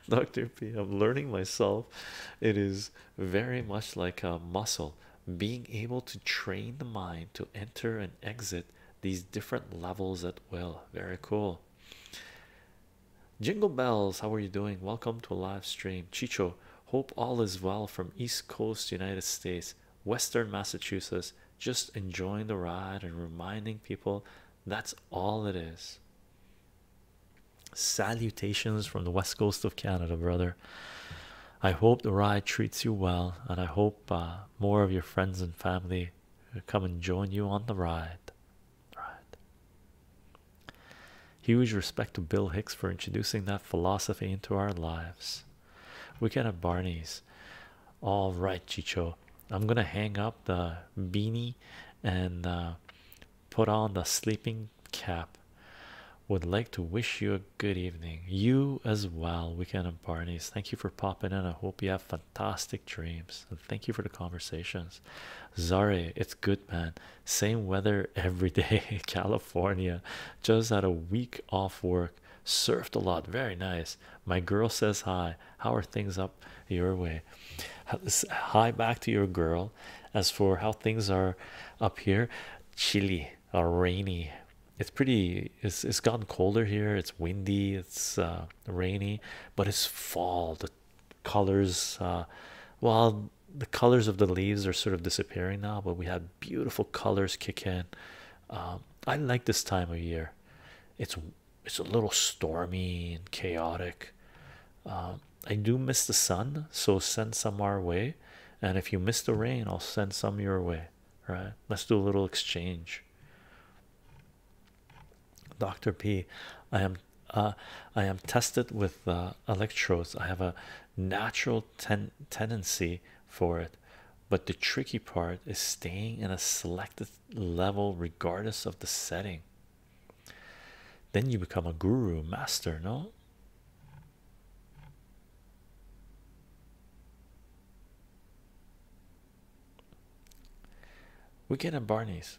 Dr. P, I'm learning myself. It is very much like a muscle. Being able to train the mind to enter and exit these different levels at will. Very cool. Jingle bells, how are you doing? Welcome to a live stream. Chicho, hope all is well from East Coast, United States, Western Massachusetts. Just enjoying the ride and reminding people that's all it is. Salutations from the west coast of Canada, brother. I hope the ride treats you well, and I hope uh, more of your friends and family come and join you on the ride. Huge respect to Bill Hicks for introducing that philosophy into our lives. We can have Barney's. All right, Chicho. I'm gonna hang up the beanie and uh, put on the sleeping cap. Would like to wish you a good evening. You as well, Weekend and Barney's. Thank you for popping in. I hope you have fantastic dreams. And thank you for the conversations. Zare, it's good, man. Same weather every day California. Just had a week off work. Surfed a lot. Very nice. My girl says hi. How are things up your way? Hi back to your girl. As for how things are up here, chilly uh, rainy it's pretty it's it's gotten colder here it's windy it's uh, rainy but it's fall the colors uh, well the colors of the leaves are sort of disappearing now but we have beautiful colors kick in um, I like this time of year it's it's a little stormy and chaotic um, I do miss the sun so send some our way and if you miss the rain I'll send some your way right let's do a little exchange Dr. P. I am uh, I am tested with uh, electrodes. I have a natural ten tendency for it, but the tricky part is staying in a selected level regardless of the setting. Then you become a guru master, no? We get a Barney's.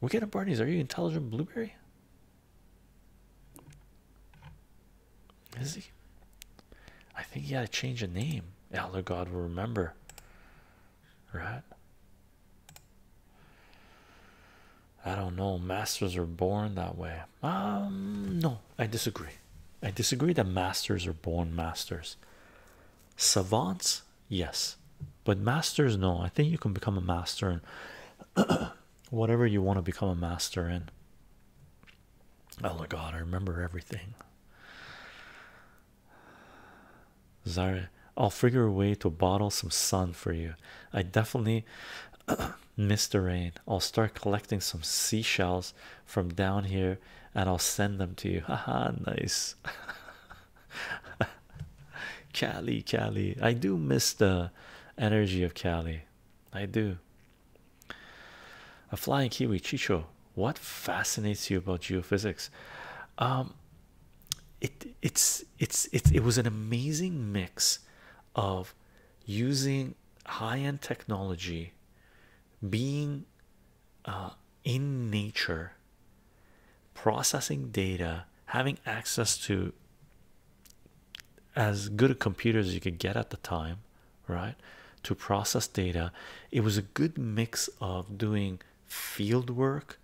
We get a Barney's. Are you intelligent, Blueberry? Is he? I think he had to change a name. Elder God will remember. Right? I don't know. Masters are born that way. Um, no, I disagree. I disagree that masters are born masters. Savants, yes, but masters, no. I think you can become a master in whatever you want to become a master in. Oh my god, I remember everything. Zara, I'll figure a way to bottle some sun for you. I definitely miss the rain. I'll start collecting some seashells from down here and I'll send them to you. Haha, nice. Cali, Cali. I do miss the energy of Cali. I do. A flying kiwi, Chicho. What fascinates you about geophysics? Um, it it's it's it's it was an amazing mix of using high-end technology, being uh, in nature processing data having access to as good a computer as you could get at the time right to process data it was a good mix of doing field work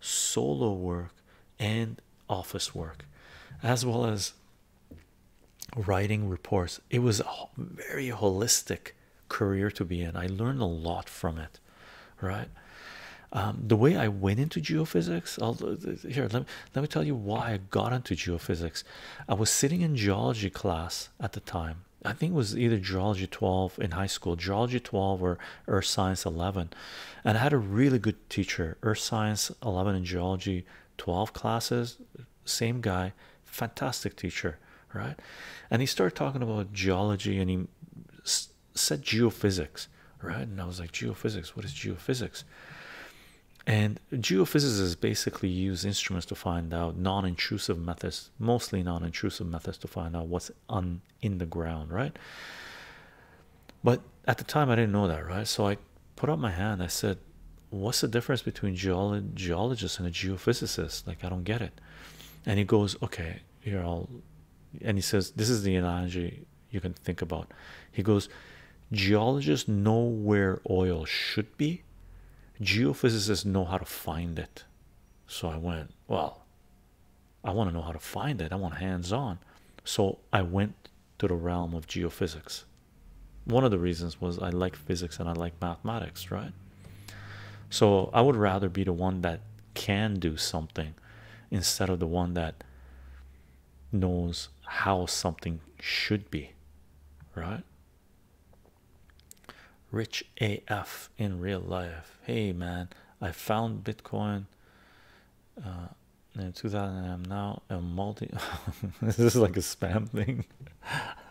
solo work and office work as well as writing reports it was very holistic career to be in. I learned a lot from it, right? Um, the way I went into geophysics, uh, here let me, let me tell you why I got into geophysics. I was sitting in geology class at the time. I think it was either geology 12 in high school, geology 12 or earth science 11, and I had a really good teacher. Earth science 11 and geology 12 classes same guy fantastic teacher right and he started talking about geology and he said geophysics right and i was like geophysics what is geophysics and geophysicists basically use instruments to find out non-intrusive methods mostly non-intrusive methods to find out what's in the ground right but at the time i didn't know that right so i put up my hand i said what's the difference between geologist and a geophysicist? Like, I don't get it. And he goes, okay, here I'll, and he says, this is the analogy you can think about. He goes, geologists know where oil should be, geophysicists know how to find it. So I went, well, I want to know how to find it. I want hands-on. So I went to the realm of geophysics. One of the reasons was I like physics and I like mathematics, right? So I would rather be the one that can do something instead of the one that knows how something should be, right? Rich AF in real life. Hey man, I found Bitcoin uh, in 2000. I'm now a multi. this is like a spam thing.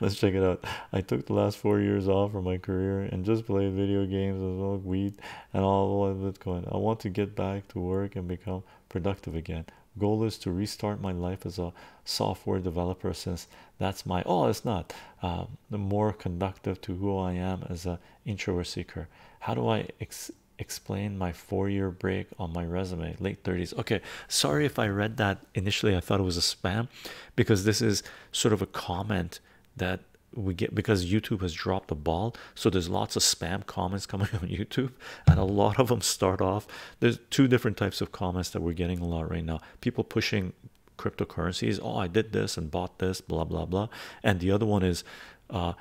Let's check it out. I took the last four years off from my career and just played video games as well, weed, and all of Bitcoin. I want to get back to work and become productive again. Goal is to restart my life as a software developer since that's my oh, it's not um, the more conductive to who I am as an introvert seeker. How do I ex explain my four-year break on my resume late 30s okay sorry if i read that initially i thought it was a spam because this is sort of a comment that we get because YouTube has dropped the ball. So there's lots of spam comments coming on YouTube, and a lot of them start off. There's two different types of comments that we're getting a lot right now. People pushing cryptocurrencies. Oh, I did this and bought this, blah blah blah. And the other one is uh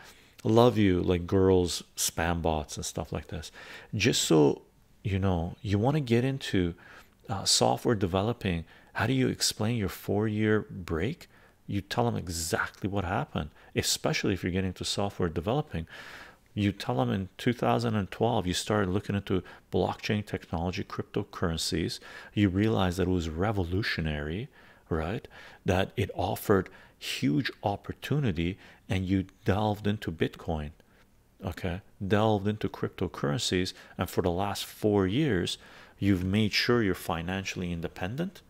love you like girls spam bots and stuff like this. Just so you know, you want to get into uh, software developing how do you explain your four-year break you tell them exactly what happened especially if you're getting to software developing you tell them in 2012 you started looking into blockchain technology cryptocurrencies you realize that it was revolutionary right that it offered huge opportunity and you delved into bitcoin okay delved into cryptocurrencies and for the last four years you've made sure you're financially independent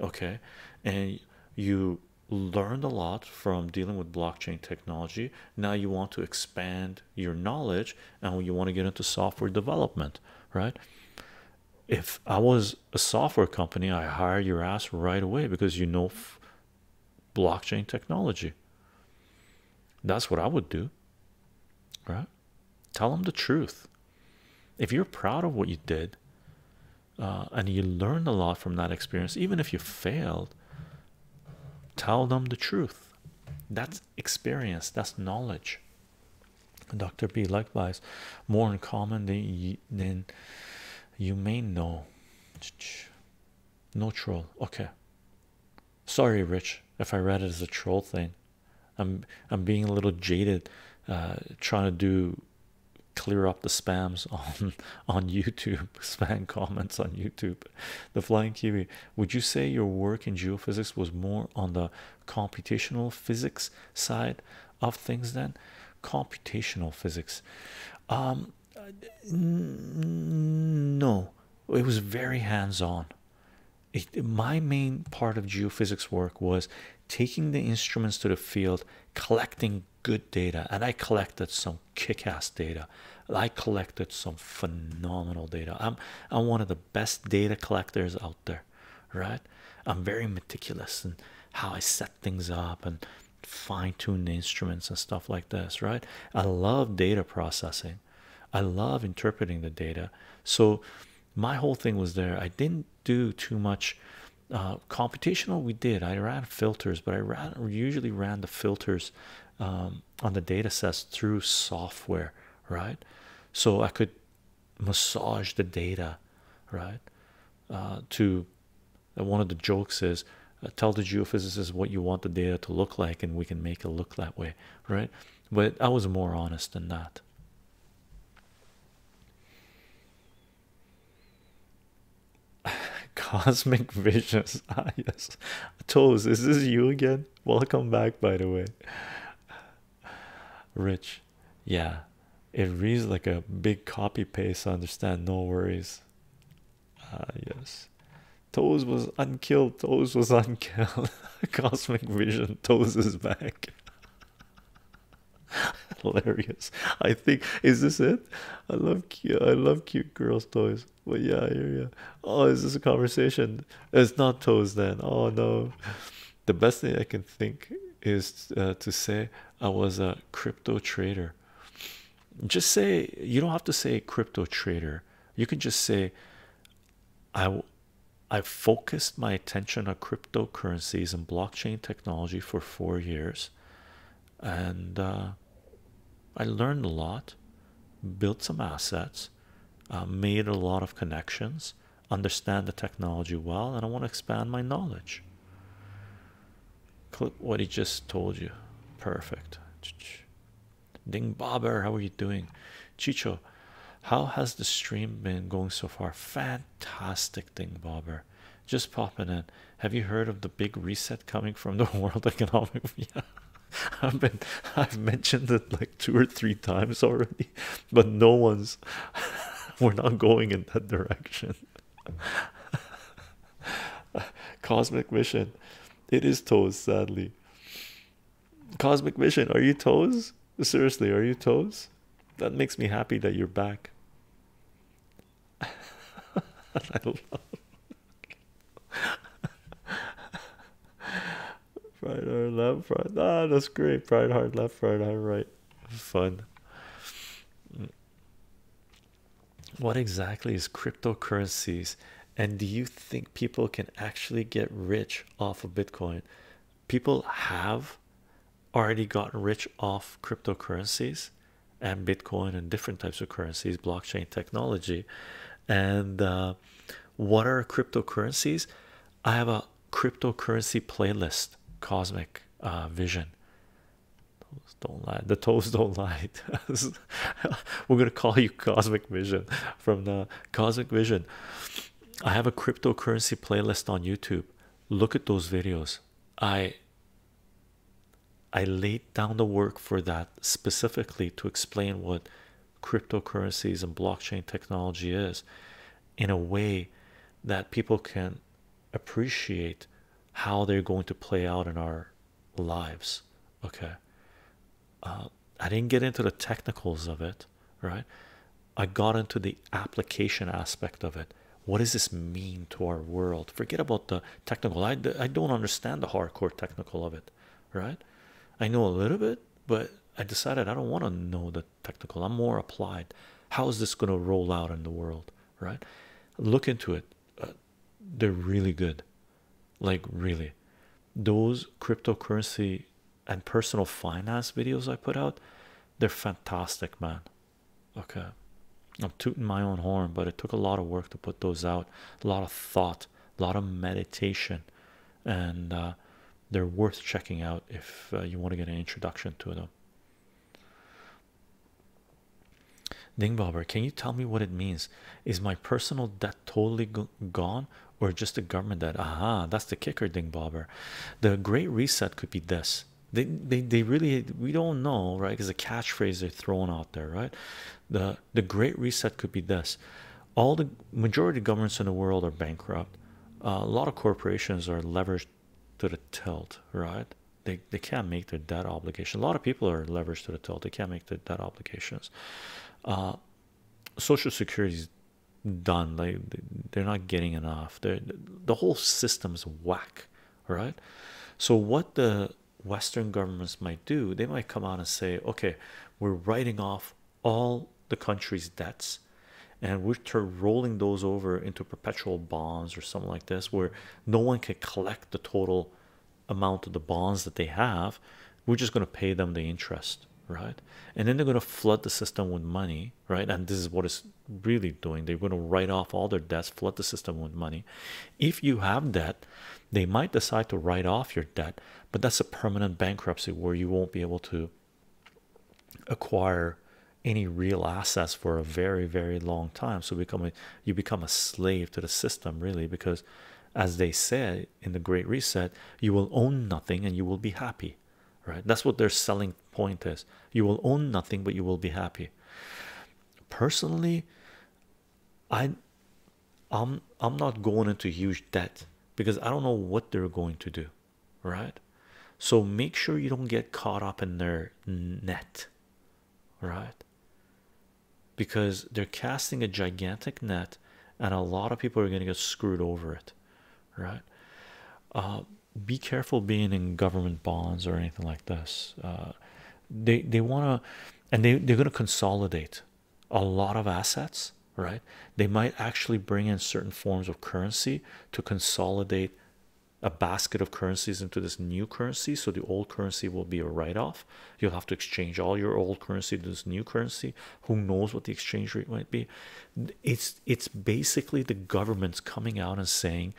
okay and you learned a lot from dealing with blockchain technology now you want to expand your knowledge and you want to get into software development right if i was a software company i hire your ass right away because you know blockchain technology. That's what I would do, right? Tell them the truth. If you're proud of what you did uh, and you learned a lot from that experience, even if you failed, tell them the truth. That's experience, that's knowledge. Dr. B, likewise, more in common than you, than you may know. No troll. Okay. Sorry, Rich, if I read it as a troll thing. I'm I'm being a little jaded, uh, trying to do clear up the spams on on YouTube, spam comments on YouTube. The flying kiwi. Would you say your work in geophysics was more on the computational physics side of things than Computational physics. Um, no, it was very hands on. my main part of geophysics work was taking the instruments to the field, collecting good data, and I collected some kick-ass data. I collected some phenomenal data. I'm I'm one of the best data collectors out there, right? I'm very meticulous in how I set things up and fine-tune the instruments and stuff like this, right? I love data processing. I love interpreting the data. So my whole thing was there. I didn't do too much uh, computational. We did. I ran filters, but I ran usually ran the filters um, on the data sets through software, right? So I could massage the data, right? Uh, to one of the jokes is uh, tell the geophysicists what you want the data to look like and we can make it look that way right but i was more honest than that cosmic visions ah yes toes this is you again welcome back by the way rich yeah it reads like a big copy paste i understand no worries uh, yes Toes was unkill. Toes was unkill. Cosmic Vision. Toes is back. Hilarious. I think is this it? I love cute. I love cute girls' toys. But yeah, I hear Oh, is this a conversation? It's not toes then. Oh no. The best thing I can think is uh, to say I was a crypto trader. Just say you don't have to say crypto trader you can just say i i focused my attention on cryptocurrencies and blockchain technology for four years and uh, i learned a lot built some assets uh, made a lot of connections understand the technology well and i want to expand my knowledge clip what he just told you perfect Ding Bobber, how are you doing? Chicho, how has the stream been going so far? Fantastic, Ding Bobber. Just popping in. Have you heard of the big reset coming from the World Economic? yeah, I've been I've mentioned it like two or three times already, but no one's we're not going in that direction. Cosmic mission, it is toast sadly. Cosmic Vision, are you toes? Seriously, are you toes? That makes me happy that you're back. I love Right hard left, right. Ah, that's great. Pride hard left, right, hard right. Fun. What exactly is cryptocurrencies and do you think people can actually get rich off of bitcoin people have already gotten rich off cryptocurrencies and bitcoin and different types of currencies blockchain technology and uh, what are cryptocurrencies i have a cryptocurrency playlist cosmic uh, vision don't lie the toes don't lie We're gonna call you Cosmic Vision from the Cosmic Vision. I have a cryptocurrency playlist on YouTube. Look at those videos. I I laid down the work for that specifically to explain what cryptocurrencies and blockchain technology is in a way that people can appreciate how they're going to play out in our lives okay uh, i didn't get into the technicals of it right i got into the application aspect of it what does this mean to our world forget about the technical i, I don't understand the hardcore technical of it right i know a little bit but i decided i don't want to know the technical i'm more applied how is this going to roll out in the world right look into it uh, they're really good like, really, those cryptocurrency and personal finance videos I put out, they're fantastic, man. Okay, uh, I'm tooting my own horn, but it took a lot of work to put those out, a lot of thought, a lot of meditation, and uh, they're worth checking out if uh, you want to get an introduction to them. Ding Bobber, can you tell me what it means? Is my personal debt totally good? gone or just the government that aha that's the kicker ding bobber the great reset could be this they they, they really we don't know right because a the catchphrase they're throwing out there right the the great reset could be this all the majority governments in the world are bankrupt a lot of corporations are leveraged to the tilt right they, they can't make their debt obligation a lot of people are leveraged to the tilt they can't make their debt obligations uh, Social Security is done. Like they're not getting enough. the whole system's whack, right? So what the Western governments might do, they might come out and say, "Okay, we're writing off all the country's debts." And we're rolling those over into perpetual bonds or something like this, where no one can collect the total amount of the bonds that they have we're just going to pay them the interest right and then they're going to flood the system with money right and this is what it's really doing they're going to write off all their debts flood the system with money if you have debt they might decide to write off your debt but that's a permanent bankruptcy where you won't be able to acquire any real assets for a very very long time so become you become a slave to the system really because as they said in the great reset you will own nothing and you will be happy right that's what their selling point is you will own nothing but you will be happy personally i i'm i'm not going into huge debt because i don't know what they're going to do right so make sure you don't get caught up in their net right because they're casting a gigantic net and a lot of people are going to get screwed over it right uh, be careful being in government bonds or anything like this uh, they they want to and they, they're going to consolidate a lot of assets right they might actually bring in certain forms of currency to consolidate a basket of currencies into this new currency so the old currency will be a write-off You'll have to exchange all your old currency to this new currency. Who knows what the exchange rate might be? It's it's basically the government's coming out and saying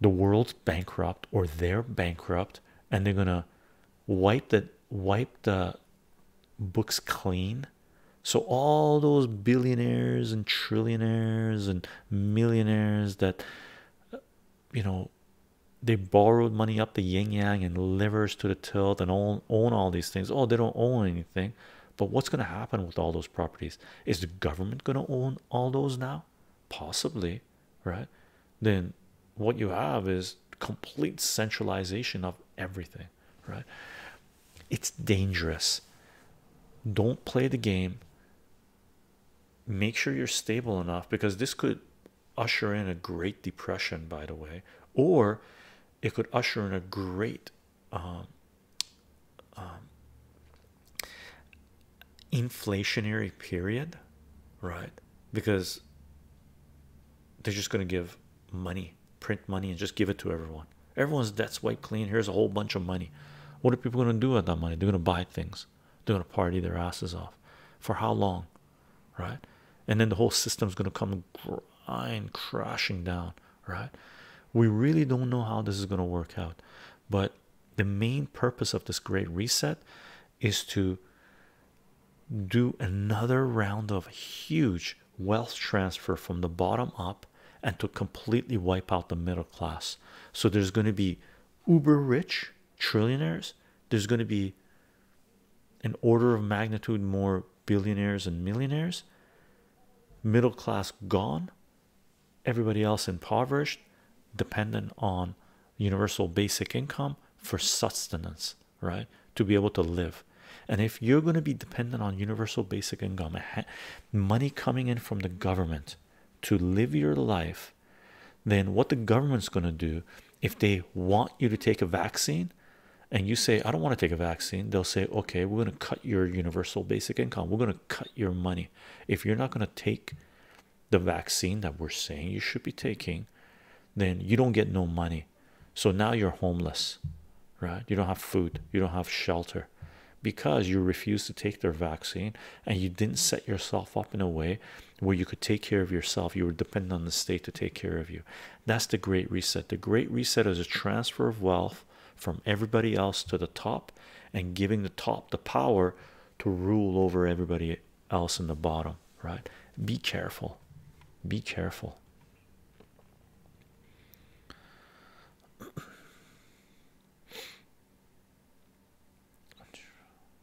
the world's bankrupt or they're bankrupt and they're gonna wipe the wipe the books clean. So all those billionaires and trillionaires and millionaires that you know they borrowed money up the yin yang and livers to the tilt and own own all these things. Oh, they don't own anything. But what's going to happen with all those properties? Is the government going to own all those now? Possibly, right? Then what you have is complete centralization of everything, right? It's dangerous. Don't play the game. Make sure you're stable enough because this could usher in a great depression, by the way, or it could usher in a great um, um, inflationary period, right? Because they're just going to give money, print money, and just give it to everyone. Everyone's debt's wiped clean. Here's a whole bunch of money. What are people going to do with that money? They're going to buy things. They're going to party their asses off. For how long? right? And then the whole system is going to come grind crashing down, right? We really don't know how this is going to work out, but the main purpose of this great reset is to do another round of huge wealth transfer from the bottom up and to completely wipe out the middle class. So there's going to be uber rich trillionaires, there's going to be an order of magnitude more billionaires and millionaires, middle class gone, everybody else impoverished, dependent on universal basic income for sustenance, right? To be able to live. And if you're going to be dependent on universal basic income, money coming in from the government to live your life, then what the government's going to do if they want you to take a vaccine and you say, I don't want to take a vaccine, they'll say, Okay, we're going to cut your universal basic income, we're going to cut your money. If you're not going to take the vaccine that we're saying you should be taking, then you don't get no money. So now you're homeless, right? You don't have food, you don't have shelter because you refused to take their vaccine and you didn't set yourself up in a way where you could take care of yourself. You were dependent on the state to take care of you. That's the Great Reset. The Great Reset is a transfer of wealth from everybody else to the top and giving the top the power to rule over everybody else in the bottom, right? Be careful. Be careful.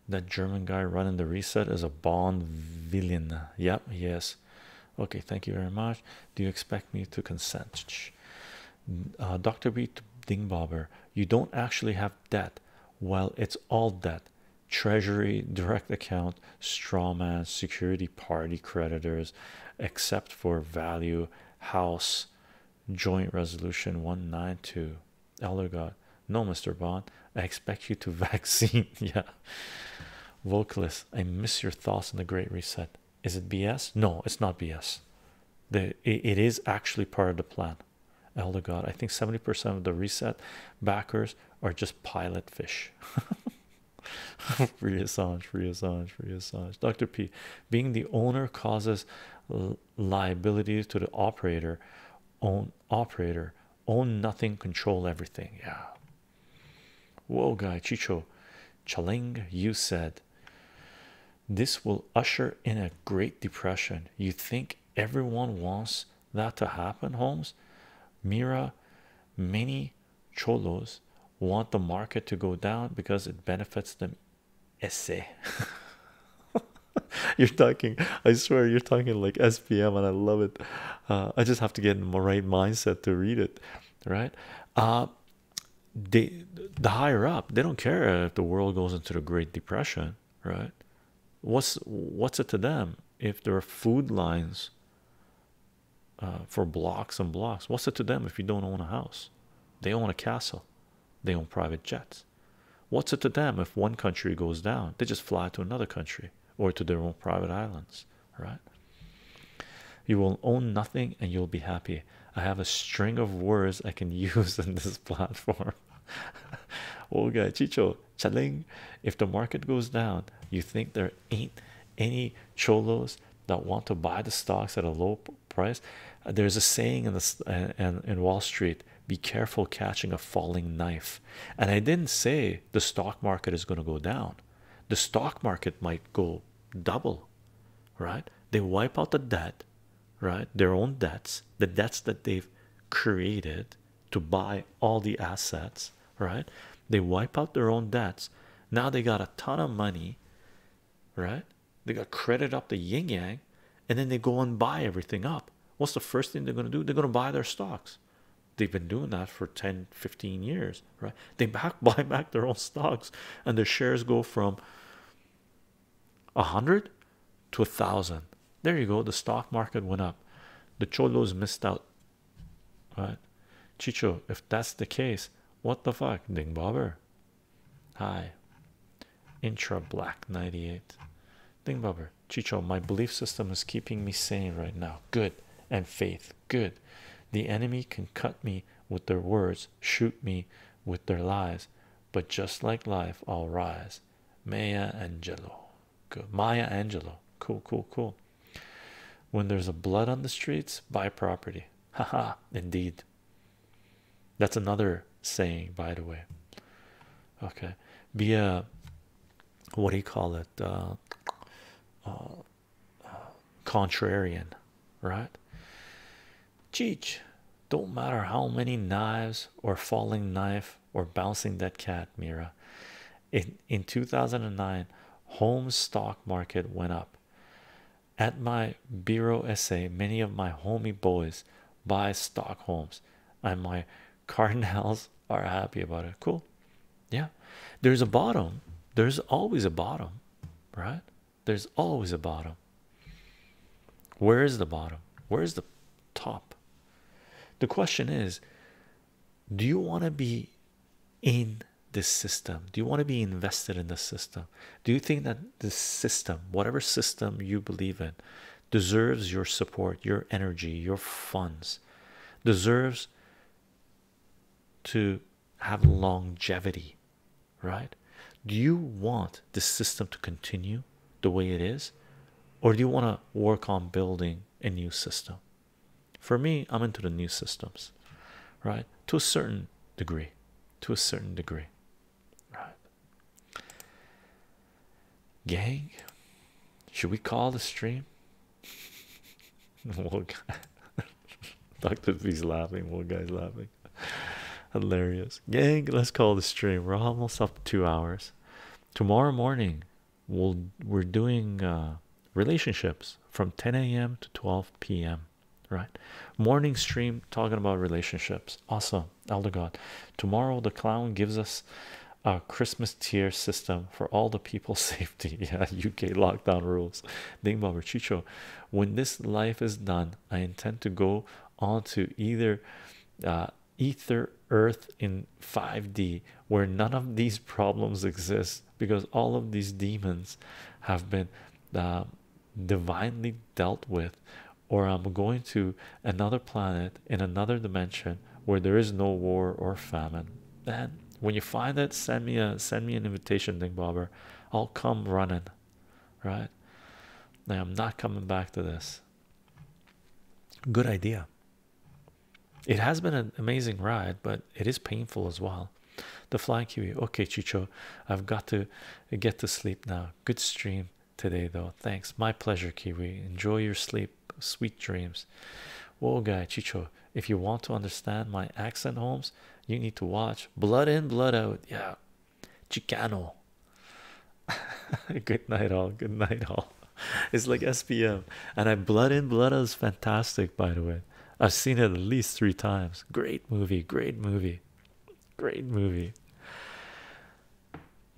That German guy running the reset is a Bond villain. Yep, yes okay thank you very much do you expect me to consent uh, dr b dingbobber you don't actually have debt well it's all debt treasury direct account strawman security party creditors except for value house joint resolution 192 elder god no mr bond i expect you to vaccine yeah Vocalist, I miss your thoughts on the Great Reset. Is it BS? No, it's not BS. The it is actually part of the plan. Elder God, I think 70% of the reset backers are just pilot fish. free Assange, free Dr. P, being the owner causes liabilities to the operator, own operator own nothing, control everything. Yeah. Whoa, guy Chicho Chaling, you said this will usher in a great depression. You think everyone wants that to happen, Holmes? Mira, many cholos want the market to go down because it benefits them. Essay. you're talking, I swear, you're talking like SPM, and I love it. Uh, I just have to get in the right mindset to read it, right? Uh, they the higher up, they don't care if the world goes into the Great Depression, right? What's what's it to them if there are food lines uh, for blocks and blocks? What's it to them if you don't own a house? They own a castle, they own private jets. What's it to them if one country goes down? They just fly to another country or to their own private islands right? You will own nothing and you'll be happy. I have a string of words I can use in this platform. Olga Chicho Chaling, if the market goes down, you think there ain't any cholos that want to buy the stocks at a low price? There's a saying in the and uh, in Wall Street be careful catching a falling knife. And I didn't say the stock market is going to go down the stock market might go double right they wipe out the debt right their own debts the debts that they've created to buy all the assets right they wipe out their own debts now they got a ton of money right they got credit up the yin yang and then they go and buy everything up what's the first thing they're going to do they're going to buy their stocks They've been doing that for 10 15 years, right? They buy back their own stocks, and their shares go from a hundred to a thousand. There you go. The stock market went up, the cholos missed out, right? Chicho, if that's the case, what the fuck, Ding Bobber? Hi, Intra Black 98. Ding Bobber, Chicho, my belief system is keeping me sane right now. Good, and faith good. The enemy can cut me with their words, shoot me with their lies, but just like life, I'll rise. Maya Angelou, good. Maya Angelou, cool, cool, cool. When there's a blood on the streets, buy property. Ha ha! indeed. That's another saying, by the way. Okay, be a what do you call it? it uh, uh, uh, contrarian right cheech don't matter how many knives or falling knife or bouncing that cat mira in in 2009 home stock market went up at my bureau essay many of my homie boys buy stock homes and my Cardinals are happy about it. Cool. Yeah. There's a bottom. There's always a bottom, right? There's always a bottom. Where is the bottom? Where is the top? The question is do you want to be in this system? Do you want to be invested in the system? Do you think that this system, whatever system you believe in, deserves your support, your energy, your funds, deserves to have longevity, right? Do you want this system to continue the way it is, or do you want to work on building a new system? For me, I'm into the new systems, right? To a certain degree, to a certain degree, right? Gang, should we call the stream? What guy? Doctor B's laughing. What guy's laughing? Hilarious. Gang, let's call the stream. We're almost up to two hours. Tomorrow morning, we'll we're doing uh, relationships from 10 a.m. to 12 p.m. Right, morning stream talking about relationships. Awesome, Elder God. Tomorrow, the clown gives us a Christmas tier system for all the people saved safety. Yeah, UK lockdown rules. Ding Bobber When this life is done, I intend to go on to either uh, ether earth in 5D where none of these problems exist because all of these demons have been uh, divinely dealt with or I'm going to another planet in another dimension where there is no war or famine man. When you find it, send me a send me an invitation, thing, Bobber. I'll come running, right? Now I'm not coming back to this. Good idea. It has been an amazing ride, but it is painful as well. The flying kiwi. Okay, Chicho, I've got to get to sleep now. Good stream today, though. Thanks. My pleasure, Kiwi. Enjoy your sleep sweet dreams. oh guy, Chicho, if you want to understand my accent, Holmes, you need to watch Blood In, Blood Out. Yeah, Chicano. good night, all. Good night, all. It's like SPM, and I Blood In, Blood Out is fantastic, by the way. I've seen it at least three times. Great movie, great movie, great movie.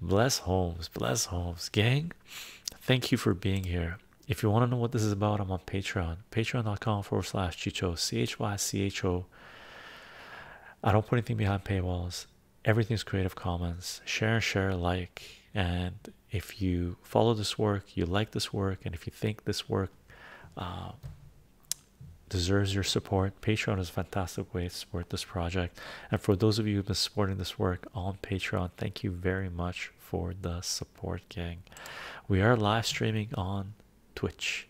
Bless Holmes, bless Holmes, gang. Thank you for being here if you want to know what this is about, I'm on Patreon, patreon.com forward slash chicho, C H Y C H O. I don't put anything behind paywalls, everything's Creative Commons. Share, share, like. And if you follow this work, you like this work, and if you think this work um, deserves your support, Patreon is a fantastic way to support this project. And for those of you who've been supporting this work on Patreon, thank you very much for the support gang. We are live streaming on Twitch.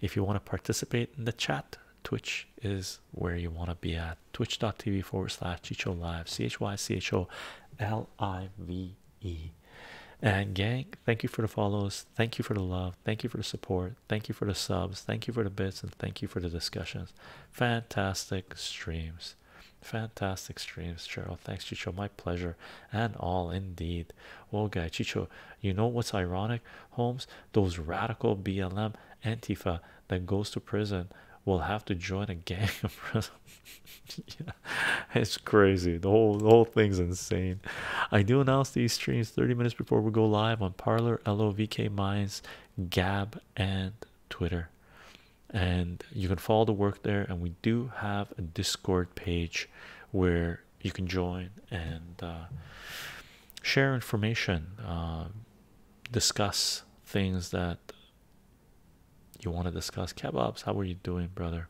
If you want to participate in the chat, Twitch is where you want to be at. Twitch.tv forward slash Chicho Live, C H Y C H O L I V E. And, gang, thank you for the follows. Thank you for the love. Thank you for the support. Thank you for the subs. Thank you for the bits. And thank you for the discussions. Fantastic streams. Fantastic streams, Cheryl. Thanks, Chicho. My pleasure and all indeed. Well, guy, Chicho, you know what's ironic, Holmes? Those radical BLM Antifa that goes to prison will have to join a gang of prison. yeah, it's crazy. The whole whole thing's insane. I do announce these streams 30 minutes before we go live on Parlor, LOVK Minds, Gab, and Twitter and you can follow the work there and we do have a discord page where you can join and uh, share information uh, discuss things that you want to discuss kebabs how are you doing brother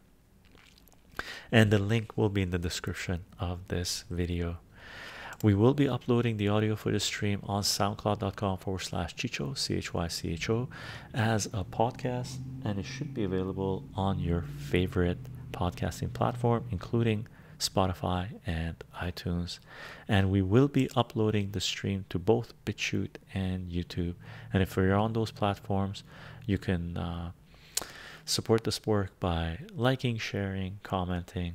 and the link will be in the description of this video we will be uploading the audio for the stream on soundcloud.com forward slash chicho c-h-y-c-h-o as a podcast, and it should be available on your favorite podcasting platform, including Spotify and iTunes. And we will be uploading the stream to both BitChute and YouTube. And if you're on those platforms, you can uh, support this work by liking, sharing, commenting.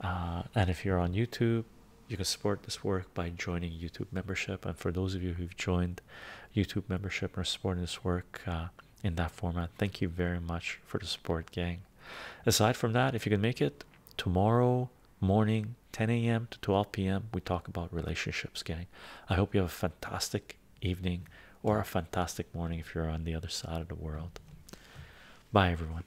Uh, and if you're on YouTube, you can support this work by joining YouTube membership. And for those of you who've joined YouTube membership and are supporting this work uh, in that format, thank you very much for the support, gang. Aside from that, if you can make it tomorrow morning, 10 a.m. to 12 p.m., we talk about relationships, gang. I hope you have a fantastic evening or a fantastic morning if you're on the other side of the world. Bye, everyone.